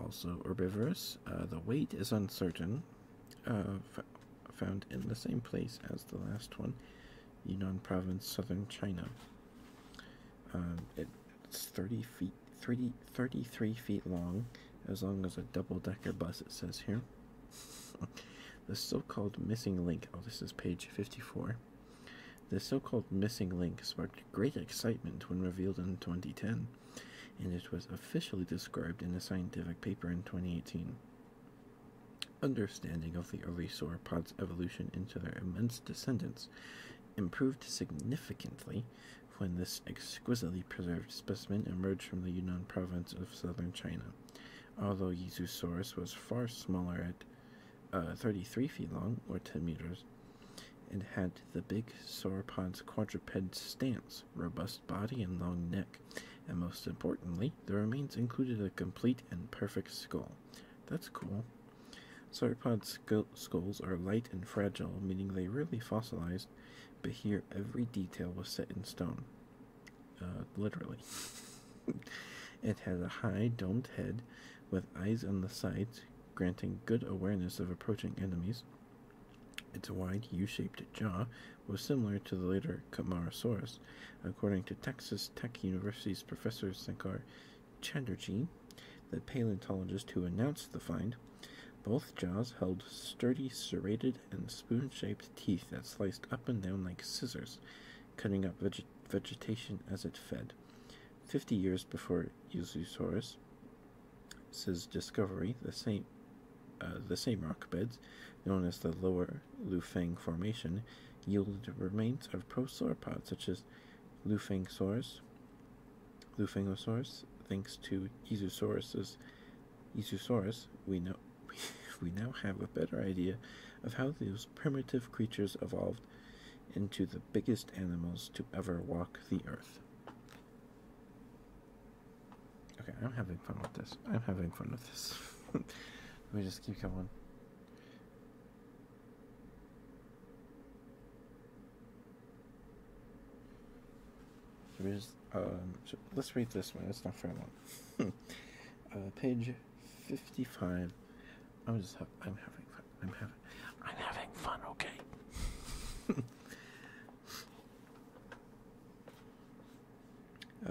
Also herbivorous, uh, the weight is uncertain, uh, found in the same place as the last one, Yunnan Province, southern China. Um, it's 30 feet, 30, 33 feet long, as long as a double-decker bus, it says here. the so-called missing link, oh, this is page 54. The so-called missing link sparked great excitement when revealed in 2010, and it was officially described in a scientific paper in 2018. Understanding of the early sauropods' evolution into their immense descendants improved significantly when this exquisitely preserved specimen emerged from the Yunnan province of southern China. Although Yesusaurus was far smaller at uh, 33 feet long, or 10 meters, and had the big sauropod's quadruped stance, robust body, and long neck, and most importantly, the remains included a complete and perfect skull, that's cool. Sauropod skulls are light and fragile, meaning they rarely fossilize. but here every detail was set in stone. Uh, literally. it has a high domed head with eyes on the sides, granting good awareness of approaching enemies. Its wide U-shaped jaw was similar to the later Camarasaurus, according to Texas Tech University's professor Sankar Chatterjee, the paleontologist who announced the find. Both jaws held sturdy, serrated, and spoon shaped teeth that sliced up and down like scissors, cutting up vegetation as it fed. Fifty years before Yuzusaurus, says discovery, the same, uh, the same rock beds, known as the Lower Lufang Formation, yielded remains of prosauropods such as Lufangsaurus. Lufangosaurus, thanks to Ezusaurus's Ezusaurus, we know we now have a better idea of how those primitive creatures evolved into the biggest animals to ever walk the earth. Okay, I'm having fun with this. I'm having fun with this. Let me just keep going. Um, let's read this one. It's not very long. Uh, page fifty-five. I'm just. Ha I'm having fun. I'm having. I'm having fun. Okay.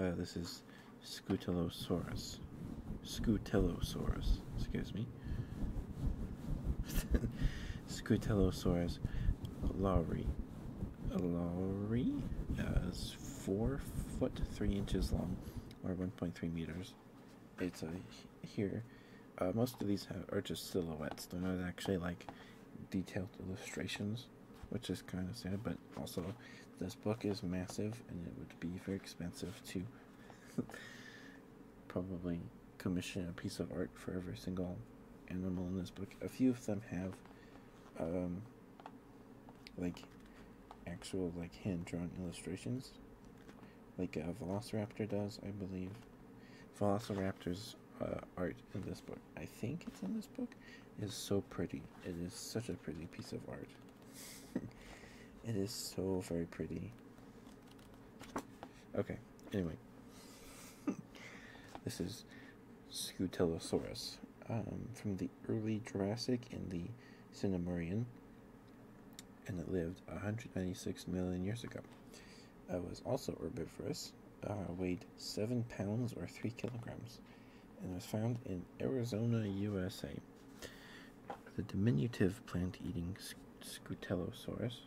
Uh, this is Scutellosaurus. Scutellosaurus, excuse me. Scutellosaurus lowry. Lowry is four foot three inches long, or 1.3 meters. It's a here. Uh, most of these have, are just silhouettes. They're not actually like detailed illustrations, which is kind of sad. But also, this book is massive, and it would be very expensive to probably commission a piece of art for every single animal in this book. A few of them have, um, like, actual like hand drawn illustrations, like a uh, Velociraptor does, I believe. Velociraptor's uh, art in this book, I think it's in this book, is so pretty. It is such a pretty piece of art. it is so very pretty. Okay, anyway. this is Scutellosaurus um, from the early Jurassic in the Cinemurian, and it lived 196 million years ago. It was also herbivorous, uh, weighed 7 pounds or 3 kilograms, and was found in Arizona, USA the diminutive plant eating Scutellosaurus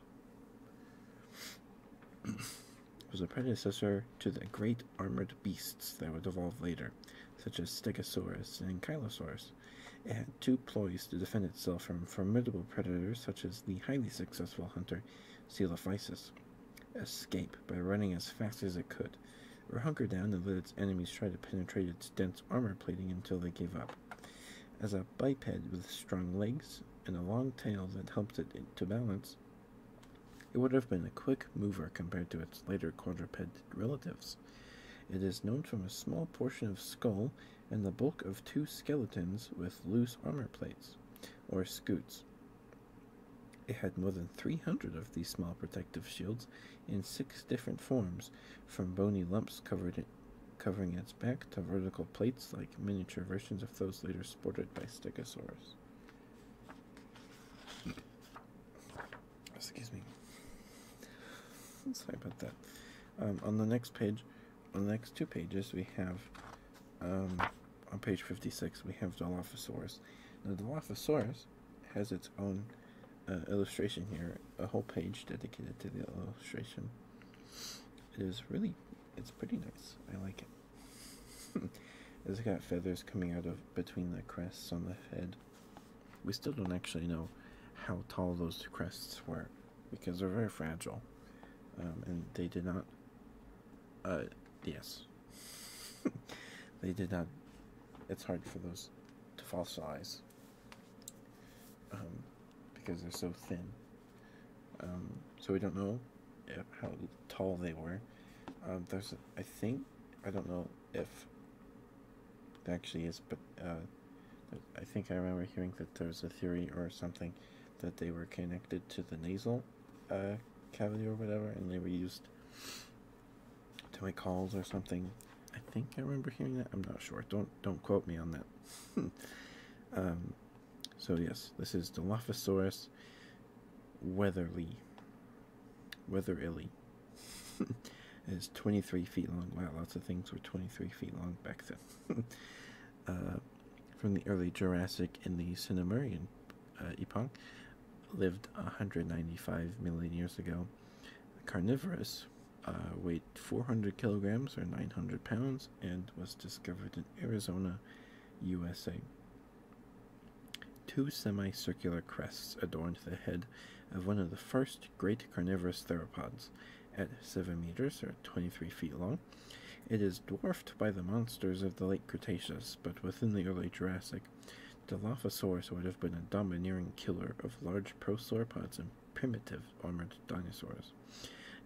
was a predecessor to the great armored beasts that would evolve later, such as Stegosaurus and Ankylosaurus. It had two ploys to defend itself from formidable predators such as the highly successful hunter Coelophysis. Escape by running as fast as it could, or hunker down and let its enemies try to penetrate its dense armor plating until they gave up. As a biped with strong legs and a long tail that helped it to balance, it would have been a quick mover compared to its later quadruped relatives. It is known from a small portion of skull and the bulk of two skeletons with loose armor plates, or scutes. It had more than 300 of these small protective shields in six different forms, from bony lumps covered covering its back to vertical plates like miniature versions of those later sported by Stegosaurus. Excuse me. Sorry about that. Um, on the next page, on the next two pages, we have, um, on page 56, we have Dilophosaurus. Now, Dilophosaurus has its own uh, illustration here, a whole page dedicated to the illustration. It is really, it's pretty nice. I like it. it's got feathers coming out of between the crests on the head. We still don't actually know how tall those crests were because they're very fragile. Um, and they did not, uh, yes. they did not, it's hard for those to fossilize um, because they're so thin. Um, so we don't know how tall they were. Um, there's, I think, I don't know if it actually is, but uh, I think I remember hearing that there's a theory or something that they were connected to the nasal uh, cavity or whatever, and they were used to make calls or something I think I remember hearing that. I'm not sure. Don't don't quote me on that. Um, so yes, this is Dilophosaurus Weatherly. Weatherilly. is 23 feet long. Wow, lots of things were 23 feet long back then. Uh, from the early Jurassic in the Cinemurian uh, epoch, lived 195 million years ago. Carnivorous uh, weighed 400 kilograms or 900 pounds and was discovered in Arizona, USA. Two semicircular crests adorned the head of one of the first great carnivorous theropods. At 7 meters or 23 feet long, it is dwarfed by the monsters of the late Cretaceous, but within the early Jurassic, Dilophosaurus would have been a domineering killer of large prosauropods primitive armored dinosaurs.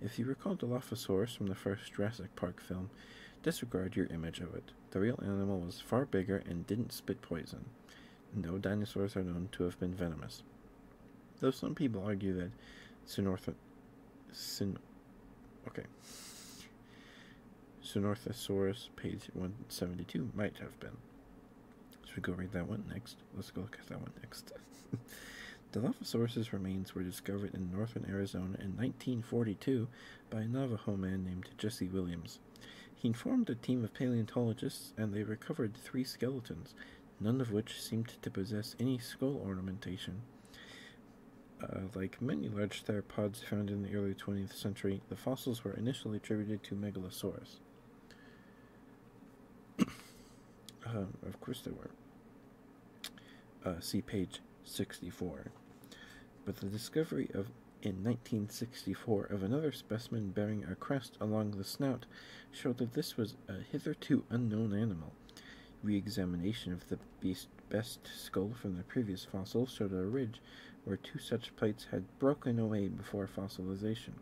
If you recall Dilophosaurus from the first Jurassic Park film, disregard your image of it. The real animal was far bigger and didn't spit poison. No dinosaurs are known to have been venomous. Though some people argue that Synortho... Okay. Synorthosaurus, page 172, might have been. Should we go read that one next? Let's go look at that one next. Dilophosaurus' remains were discovered in northern Arizona in 1942 by a Navajo man named Jesse Williams. He informed a team of paleontologists, and they recovered three skeletons, none of which seemed to possess any skull ornamentation. Uh, like many large theropods found in the early 20th century, the fossils were initially attributed to Megalosaurus. Um, of course there were. Uh, see page 64. But the discovery of in 1964 of another specimen bearing a crest along the snout showed that this was a hitherto unknown animal. Re-examination of the best skull from the previous fossil showed a ridge where two such plates had broken away before fossilization.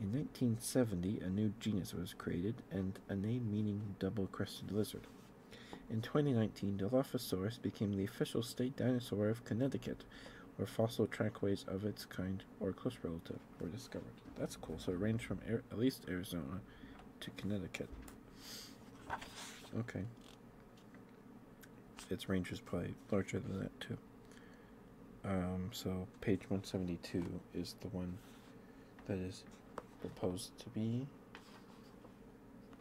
In 1970, a new genus was created and a name meaning double crested lizard. In 2019, Dilophosaurus became the official state dinosaur of Connecticut, where fossil trackways of its kind or close relative were discovered. That's cool. So it ranged from at least Arizona to Connecticut. Okay. Its range is probably larger than that, too. Um, so page 172 is the one that is proposed to be,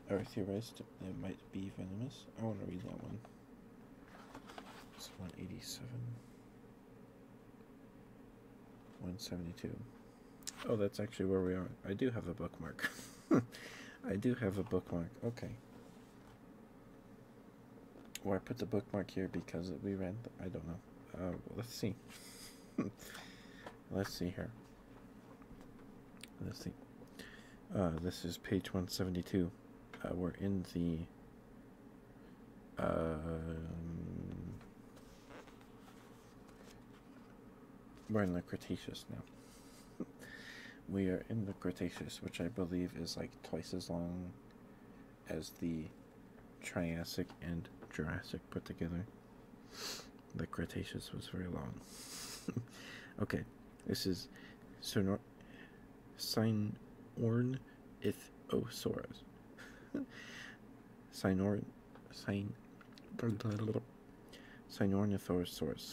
or theorized it might be venomous. I want to read that one. It's 187. 172. Oh, that's actually where we are. I do have a bookmark. I do have a bookmark. Okay. Or I put the bookmark here because we read I don't know. Uh, let's see. let's see here. Let's see. Uh, this is page 172. Uh, we're in the. Um, we're in the Cretaceous now. we are in the Cretaceous, which I believe is like twice as long as the Triassic and Jurassic put together. The Cretaceous was very long. okay, this is Sinor Sinornithosaurus. Sinor Sin Sinornithosaurus.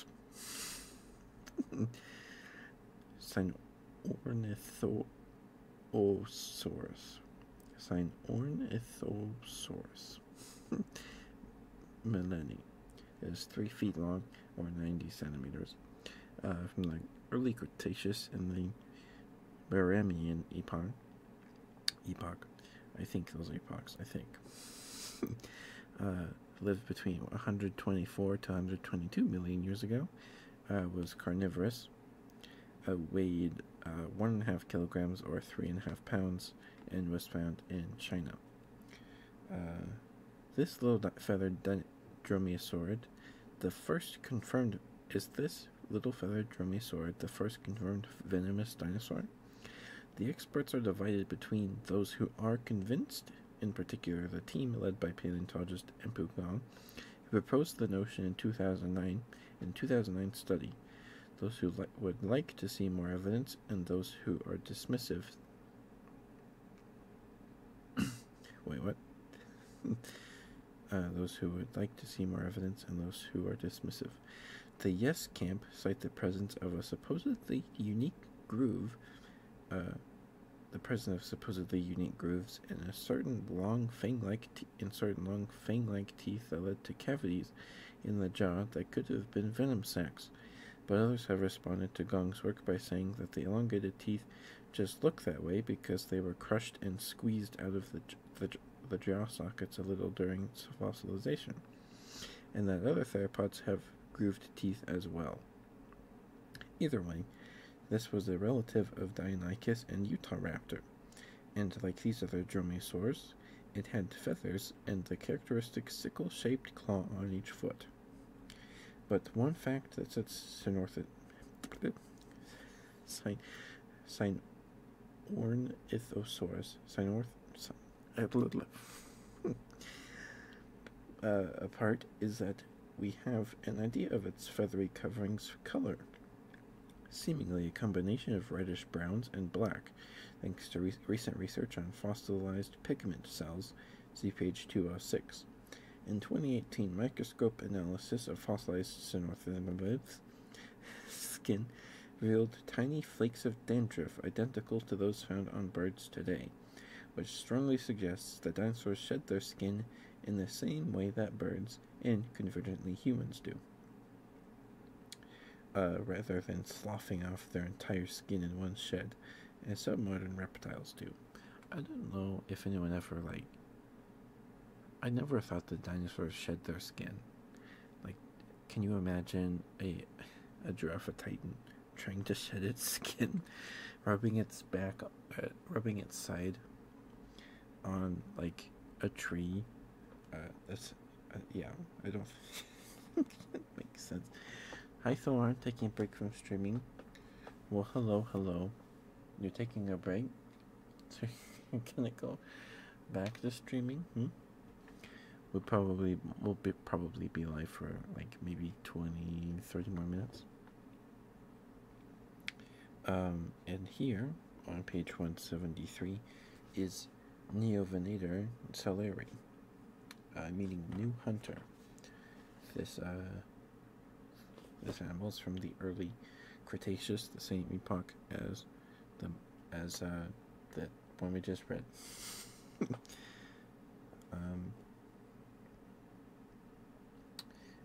Sinornithosaurus. Ornithosaurus. It's an Ornithosaurus. Melanie is three feet long or 90 centimeters uh, from the early Cretaceous and the Baramian epoch. Epoch, I think those epochs. I think uh, lived between 124 to 122 million years ago. Uh, was carnivorous, uh, weighed one and a half kilograms or three and a half pounds and was found in China. Uh, this little feathered dromaeosaurid, the first confirmed, is this little feathered dromaeosaurid the first confirmed venomous dinosaur? The experts are divided between those who are convinced, in particular the team led by paleontologist Empu Pukong. He proposed the notion in 2009 in 2009 study. Those who would like to see more evidence and those who are dismissive. Wait, what? Uh, those who would like to see more evidence and those who are dismissive. The Yes Camp cite the presence of a supposedly unique groove, uh, the presence of supposedly unique grooves in a certain long fang like insert long fang-like teeth that led to cavities in the jaw that could have been venom sacs, but others have responded to Gong's work by saying that the elongated teeth just look that way because they were crushed and squeezed out of the jaw sockets a little during fossilization, and that other theropods have grooved teeth as well. Either way, this was a relative of Deinonychus and Utahraptor, and like these other dromaeosaurs, it had feathers and the characteristic sickle-shaped claw on each foot. But one fact that sets Cynorth sign sign Ornithosaurus Cynorth uh, apart is that we have an idea of its feathery covering's color seemingly a combination of reddish browns and black, thanks to recent research on fossilized pigment cells, see page 206. In 2018, microscope analysis of fossilized cynothermobes skin revealed tiny flakes of dandruff identical to those found on birds today, which strongly suggests that dinosaurs shed their skin in the same way that birds and convergently humans do. Uh, rather than sloughing off their entire skin in one shed, as some modern reptiles do. I don't know if anyone ever, like, I never thought the dinosaurs shed their skin. Like, can you imagine a, a giraffe titan trying to shed its skin, rubbing its back, uh, rubbing its side, on like a tree. Uh, that's uh, yeah. I don't. that makes sense. Hi, Thorn. Taking a break from streaming. Well, hello, hello. You're taking a break. So you're gonna go back to streaming. Hmm? We'll probably we'll be probably be live for like maybe 20, 30 more minutes. Um, and here on page 173 is Neovenator Saleri, uh, meaning New Hunter. This, uh, this animal is from the early Cretaceous, the same epoch as the as uh, that one we just read. Um,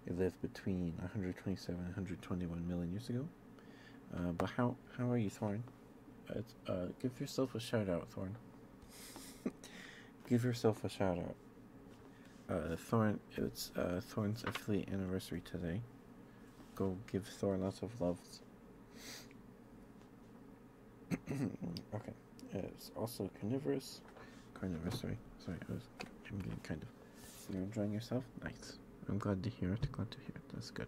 it lived between 127 and 121 million years ago. Uh, but how how are you, Thorn? Uh, give yourself a shout out, Thorn. give yourself a shout out. Uh, Thorn, it's uh, Thorn's affiliate anniversary today. Go give Thorn lots of love. okay, it's also carnivorous. Carnivorous, sorry. Sorry, I was, I'm getting kind of you're enjoying yourself? Nice. I'm glad to hear it. Glad to hear it. That's good.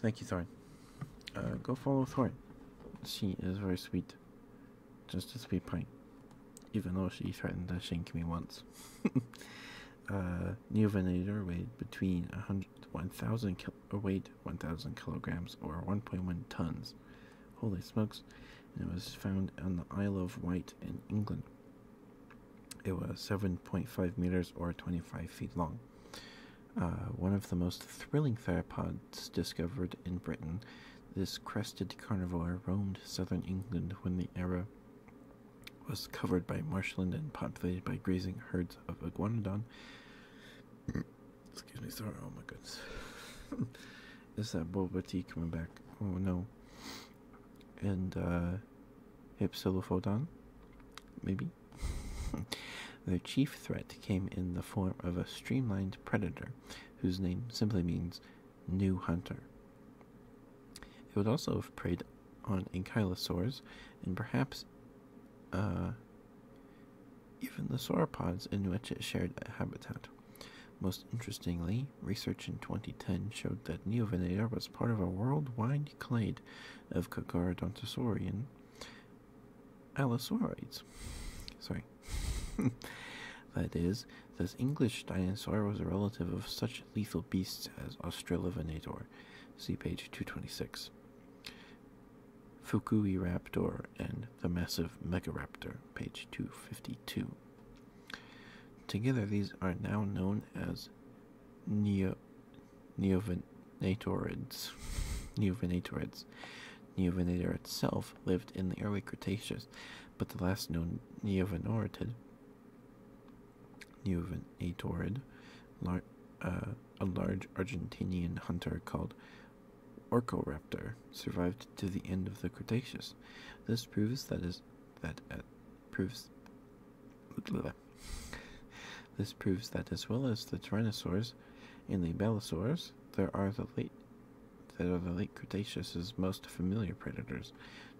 Thank you, Thorn. Uh, go follow Thorn. She is very sweet. Just a sweet pint. Even though she threatened to shank me once. uh, Neovenator weighed between 1,000 1, kil- or 1,000 kilograms or 1.1 tons. Holy smokes it was found on the Isle of Wight in England. It was 7.5 meters or 25 feet long. Uh, one of the most thrilling theropods discovered in Britain, this crested carnivore roamed southern England when the era was covered by marshland and populated by grazing herds of iguanodon. Excuse me, sorry, oh my goodness. Is that Boba Tea coming back? Oh no, and uh, Hypsilophodon, maybe. Their chief threat came in the form of a streamlined predator whose name simply means new hunter. It would also have preyed on ankylosaurs and perhaps uh, even the sauropods in which it shared a habitat. Most interestingly, research in 2010 showed that Neovenator was part of a worldwide clade of Cocharodontosaurian Allosaurids. Sorry. that is, this English dinosaur was a relative of such lethal beasts as Australovenator. See page 226. Fukui Raptor and the massive Megaraptor, page 252. Together, these are now known as neo neovenatorids. neovenatorids. Neovenator itself lived in the early Cretaceous, but the last known neovenatorid, neovenatorid, uh, a large Argentinian hunter called Orcoraptor, survived to the end of the Cretaceous. This proves that that uh, proves this proves that as well as the tyrannosaurs and the bellosaurs, there are the late that are the late Cretaceous's most familiar predators.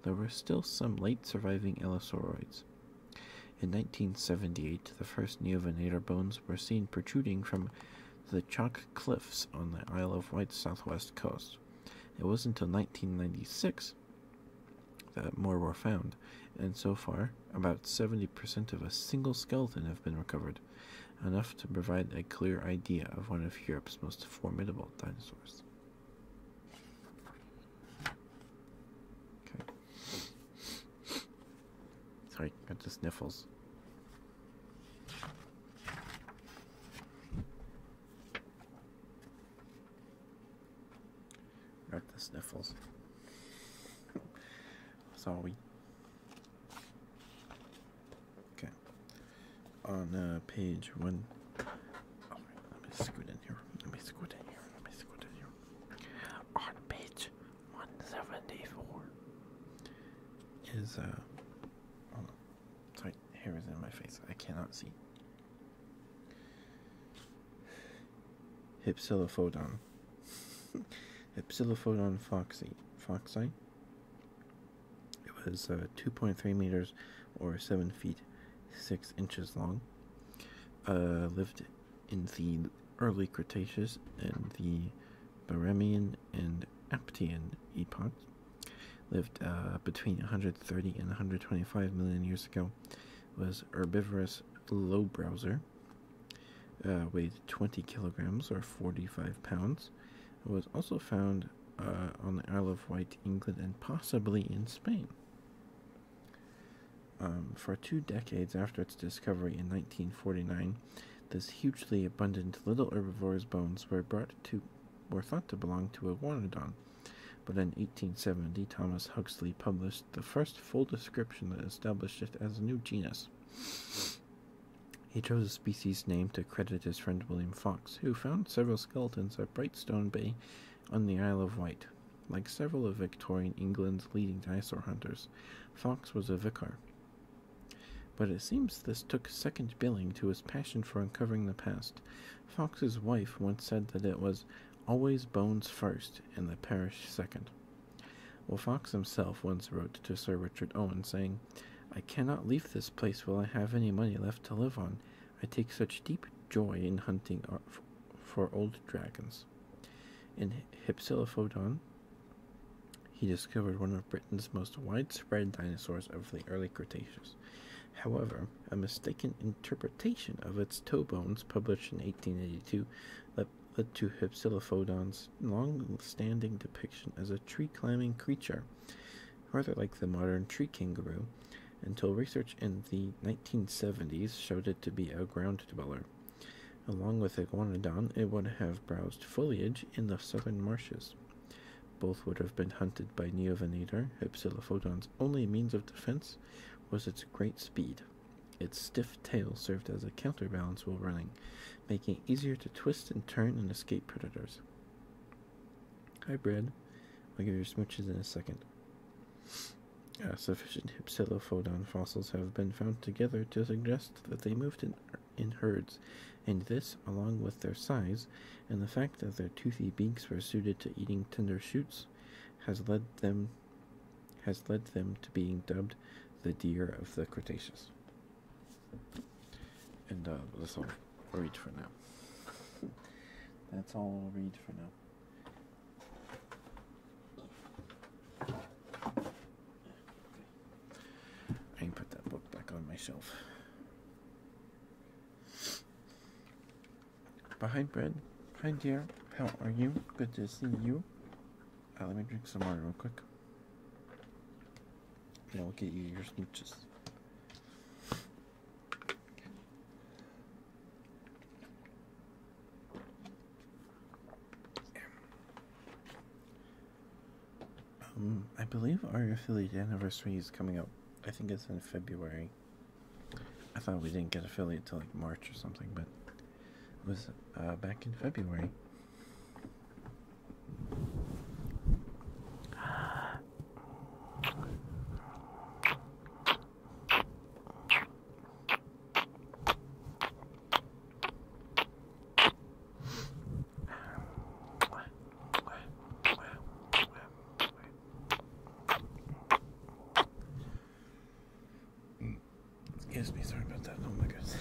There were still some late surviving elasauroids. In 1978, the first neovenator bones were seen protruding from the chalk cliffs on the Isle of Wight's southwest coast. It wasn't until 1996 that more were found, and so far, about 70% of a single skeleton have been recovered, enough to provide a clear idea of one of Europe's most formidable dinosaurs. Okay. Sorry, got the sniffles. Got the sniffles. Sorry. Okay. On uh, page one. Oh, let me scoot in here. Let me scoot in here. Let me scoot in here. On page one seventy four is uh. Sorry, hair is in my face. I cannot see. Hypsilophodon. Hypsilophodon foxy. foxy. It was uh, 2.3 meters or 7 feet 6 inches long. Uh, lived in the early Cretaceous and the Barremian and Aptian epochs lived uh, between 130 and 125 million years ago, was herbivorous low browser. Uh, weighed 20 kilograms or 45 pounds, was also found uh, on the Isle of Wight, England, and possibly in Spain. Um, for two decades after its discovery in 1949, this hugely abundant little herbivore's bones were brought to were thought to belong to a Guanodon, but in 1870 Thomas Huxley published the first full description that established it as a new genus. He chose a species name to credit his friend William Fox, who found several skeletons at Brightstone Bay on the Isle of Wight. Like several of Victorian England's leading dinosaur hunters, Fox was a vicar. But it seems this took second billing to his passion for uncovering the past, Fox's wife once said that it was always bones first and the parish second. Well, Fox himself once wrote to Sir Richard Owen saying, I cannot leave this place while I have any money left to live on. I take such deep joy in hunting for old dragons. In Hypsilophodon, he discovered one of Britain's most widespread dinosaurs of the early Cretaceous, However, a mistaken interpretation of its toe bones, published in 1882, led, to Hypsilophodon's long-standing depiction as a tree-climbing creature, rather like the modern tree kangaroo, until research in the 1970s showed it to be a ground dweller. Along with Iguanodon, it would have browsed foliage in the southern marshes. Both would have been hunted by Neovenator. Hypsilophodon's only means of defense was its great speed. Its stiff tail served as a counterbalance while running, making it easier to twist and turn and escape predators. Hybrid. Brad. I'll give you smooches in a second. Uh, sufficient hypsilophodon fossils have been found together to suggest that they moved in, in herds, and this, along with their size, and the fact that their toothy beaks were suited to eating tender shoots has led them has led them to being dubbed the deer of the Cretaceous. And uh, that's all I'll read for now. That's all I'll read for now. I can put that book back on my shelf. But hi, Bread. Hi, dear. How are you? Good to see you. Uh, let me drink some water real quick. And I'll get you your smooches. Um, I believe our affiliate anniversary is coming up I think it's in February. I thought we didn't get affiliate till like March or something, but it was uh, back in February. Excuse me, sorry about that. Oh my goodness.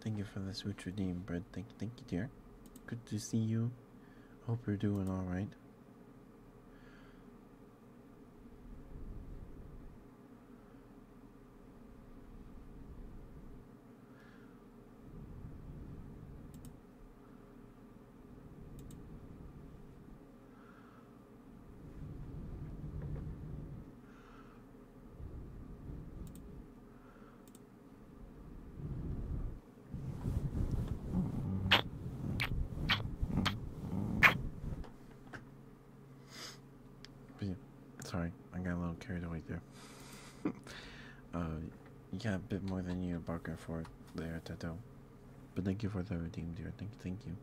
Thank you for the switch redeem, Brad. Thank, thank you, dear. Good to see you. Hope you're doing all right sorry, I got a little carried away there. Uh, you got a bit more than you bargained for there, Tato. But thank you for the redeem, Thank, thank you. Mm-hmm.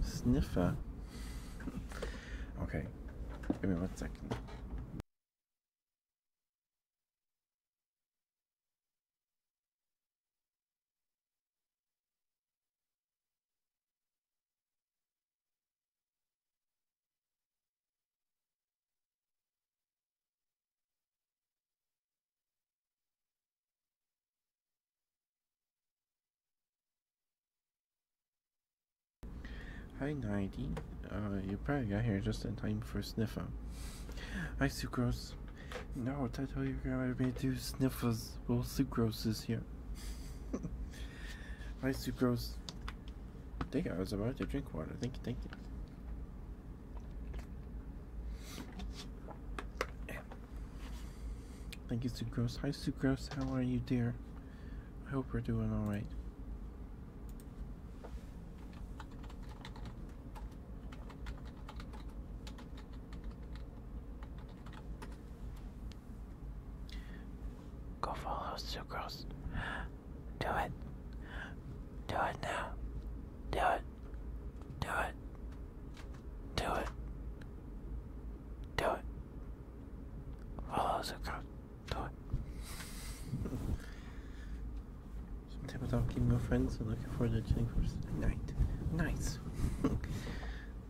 Sniffer. okay, give me one second. Hi, Nighty. Uh, you probably got here just in time for Sniffa. Hi, Sucrose. No, I told your grandma I made two sniffles. Well, sucrose is here. Hi, sucrose. I think I was about to drink water. Thank you, thank you. Thank you, sucrose. Hi, sucrose. How are you, dear? I hope we're doing alright. Go follow Sucrose. Do it. Do it now. Do it. Do it. Do it. Do it. Follow Sucrose. Do it. Sometimes i of talking my friends and looking forward to chilling for night. Nice.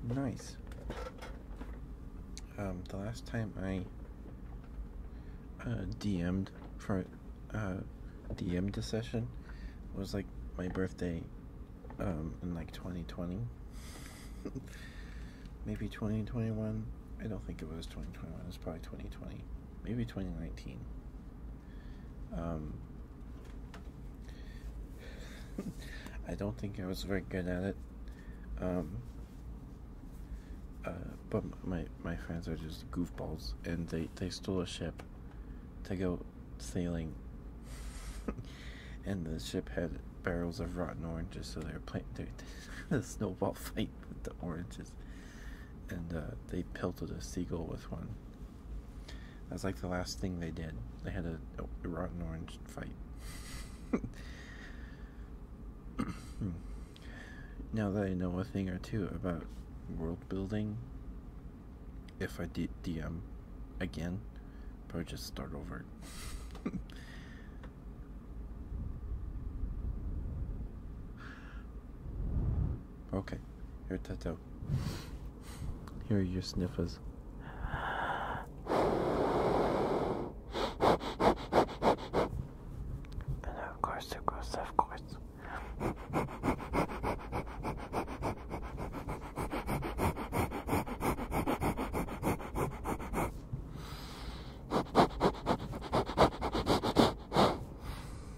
nice. Um, the last time I uh, DM'd for uh, DM'd session was like my birthday um, in like 2020. Maybe 2021. I don't think it was 2021. It was probably 2020. Maybe 2019. Um, I don't think I was very good at it. Um, uh, but my my friends are just goofballs, and they they stole a ship to go sailing, and the ship had barrels of rotten oranges, so they were playing a snowball fight with the oranges, and uh, they pelted a seagull with one. That's like the last thing they did. They had a, rotten orange fight. now that I know a thing or two about world building, if I d DM again, probably just start over. okay, here, Tata here are your sniffers. And of course, of course, of course.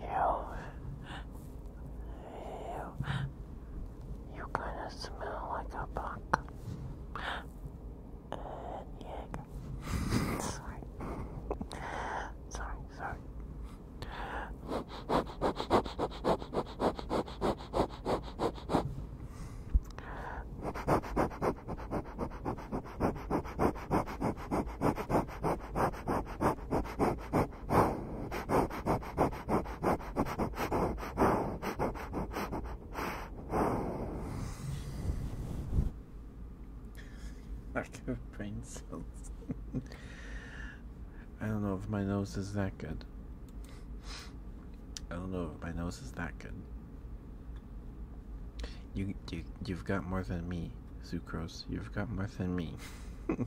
You. You. You kind of smell like a buck. sorry. sorry, sorry. Lack of brain I don't know if my nose is that good. I don't know if my nose is that good. You, you you've got more than me, Sucrose. You've got more than me.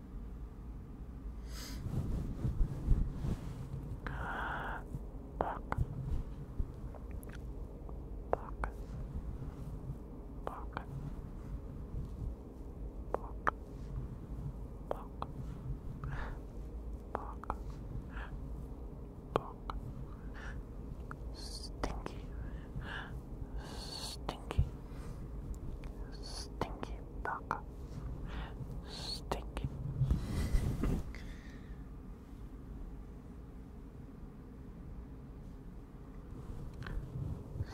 Fuck. Fuck. Fuck. Fuck. Fuck. Fuck. Fuck. Stinky. Stinky. Stinky. Taka. Stinky.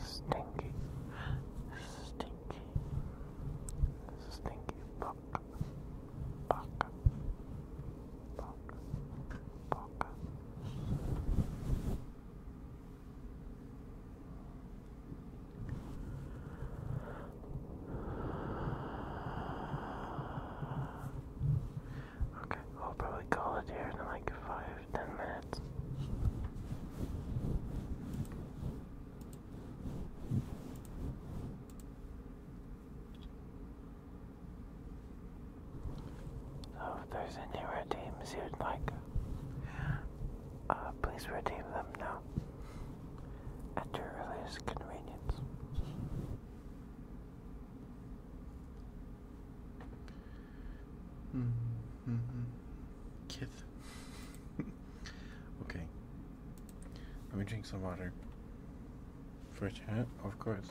Stinky. Stinky. Stinky buck. Buck. Buck. Buck. Okay, I'll probably call it here in like five, ten minutes. So if there's any red teams you'd like uh, please redeem them now at your earliest convenience. Mm -hmm. Kith. okay. Let me drink some water. For a chat, of course.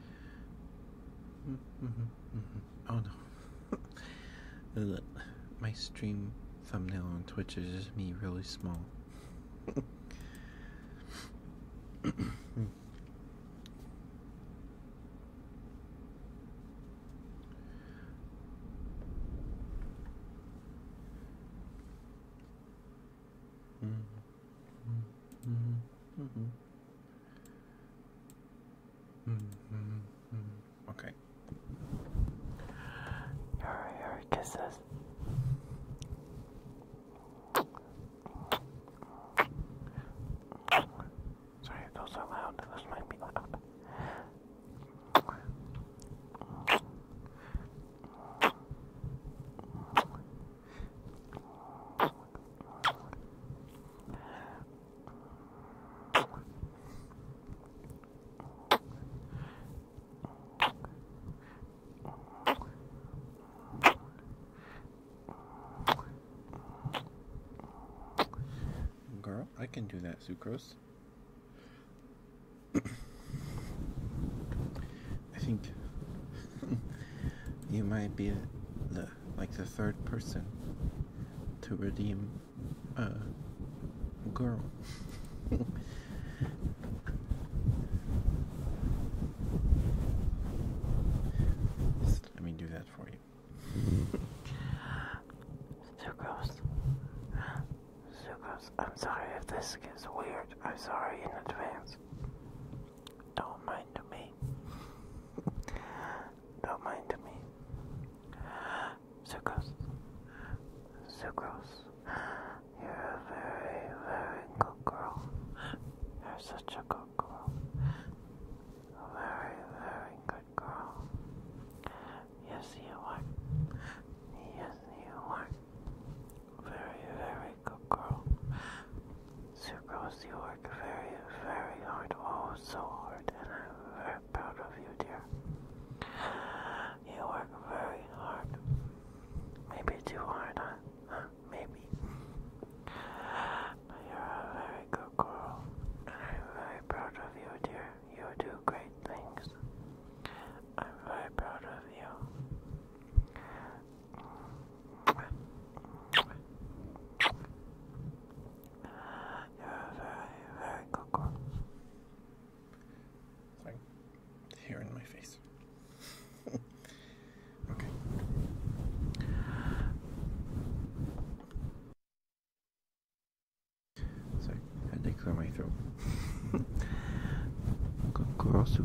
Oh no. My stream thumbnail on Twitch is just me really small. Mm -hmm. Mm -hmm. -hmm. -hmm. -hmm. Okay. Your your kisses. Sorry, it goes so loud. This might be loud. Girl, I can do that, sucrose. I think you might be the like the third person to redeem a girl. let me do that for you. so gross. I'm sorry if this gets weird. I'm sorry in advance. Don't mind me. Don't mind me. Sucrose. Sucrose. You're a very, very good girl. You're such a good girl. A very, very good girl. Yes, you are. Yes, you are. Very, very good girl. Sucrose, you work very, very hard. Oh, so hard. And I'm very proud of you, dear. You work very hard. Maybe too hard, huh? Maybe. But you're a very good girl. And I'm very proud of you, dear. You do great things. I'm very proud of you very, very good girl. Sorry, hair in my face. okay. Sorry, I had my throat. good girl, so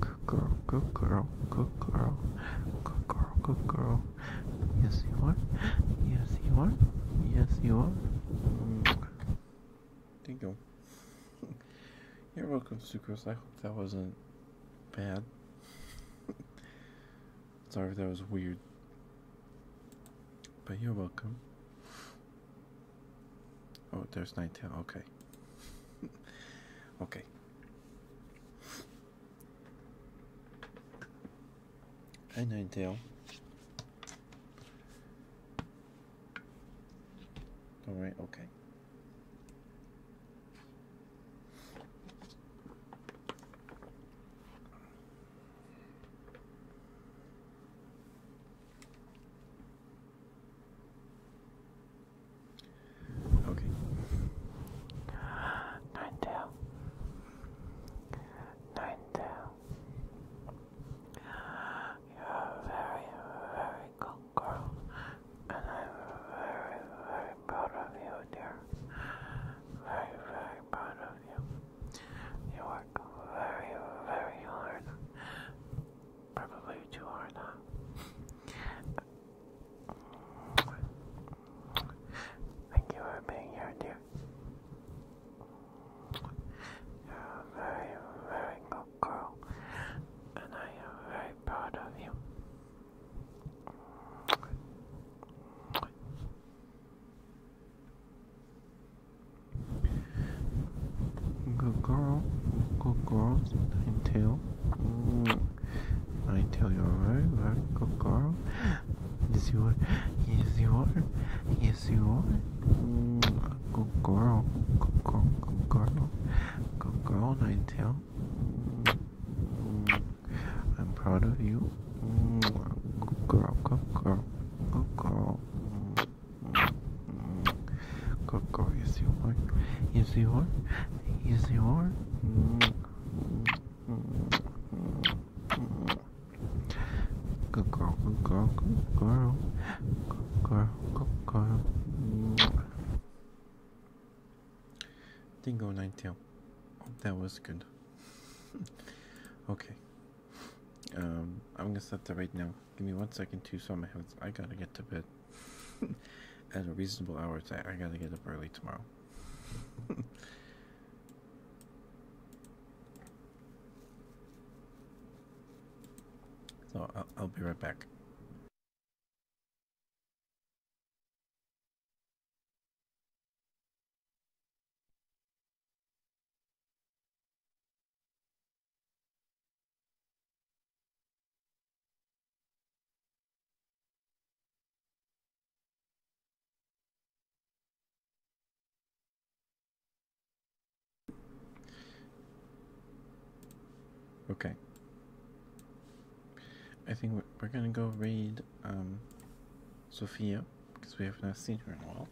Good girl, good girl, good girl, good girl, good girl. Yes, you are. Yes, you are. Yes, you are. There you You're welcome, Sucrose. I hope that wasn't bad. Sorry if that was weird. But you're welcome. Oh, there's Ninetale. Okay. okay. I Hi, Ninetale. All right. Okay. Okay. Nine tail. Nine tail. You're a very, very good girl, and I'm very, very proud of you, dear. Very, very proud of you. You work very, very hard. Probably too hard, huh? Thank you for being here, dear. You're a very, very good girl, and I am very proud of you. Good girl. Good girl. I tell. Mm. I tell you very, very good girl. Yes you are. Yes you are. Yes you are. Mm. Good girl. Good girl. Good girl. Good girl, Ninetale. Mm. I'm proud of you. Good girl. Good girl. Good girl. Go, go, yes you are. Yes you are. Yes you are. Good girl, good girl, good girl. Good girl, good girl. Dingo Ninetail. That was good. okay. Um, I'm gonna stop that right now Give me one second to so my hands. I gotta get to bed at a reasonable hour. I, I gotta get up early tomorrow. so I'll, I'll be right back. Okay. I think we're, gonna go read um, Sophia because we have not seen her in a while.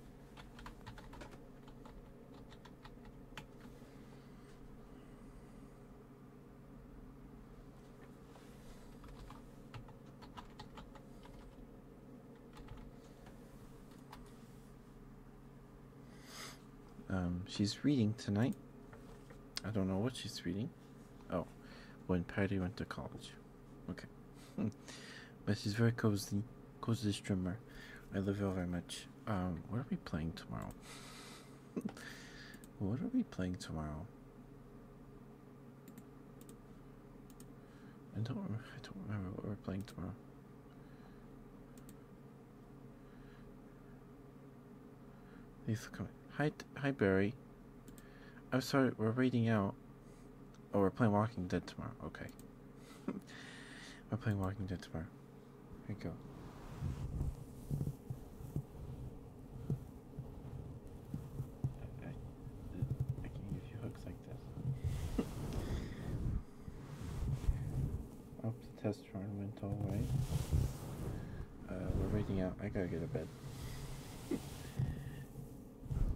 Um, she's reading tonight. I don't know what she's reading. Oh, when Patty went to college. Okay. but she's very cozy. Cozy streamer. I love her very much. Um, what are we playing tomorrow? what are we playing tomorrow? I don't. I don't remember what we're playing tomorrow. These coming. Hi, hi, Barry. I'm sorry. We're reading out. Oh, we're playing Walking Dead tomorrow. Okay. we're playing Walking Dead tomorrow. Here you go. I, I, can give you hooks like this. Up oh, the test run went all right. Uh, we're waiting out. I gotta get to bed.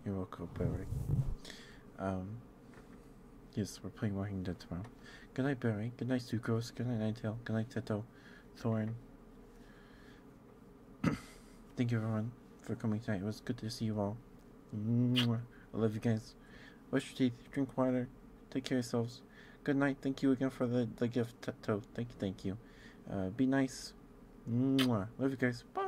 You're welcome, Barry. Um, yes, we're playing Walking Dead tomorrow. Good night, Barry. Good night, Sucrose. Good night, Ninetale. Good night, Teto. Thorn. Thank you, everyone, for coming tonight. It was good to see you all. I love you guys. Brush your teeth. Drink water. Take care of yourselves. Good night. Thank you again for the, the gift, Teto. Thank you. Thank you. Uh, be nice. Love you guys. Bye.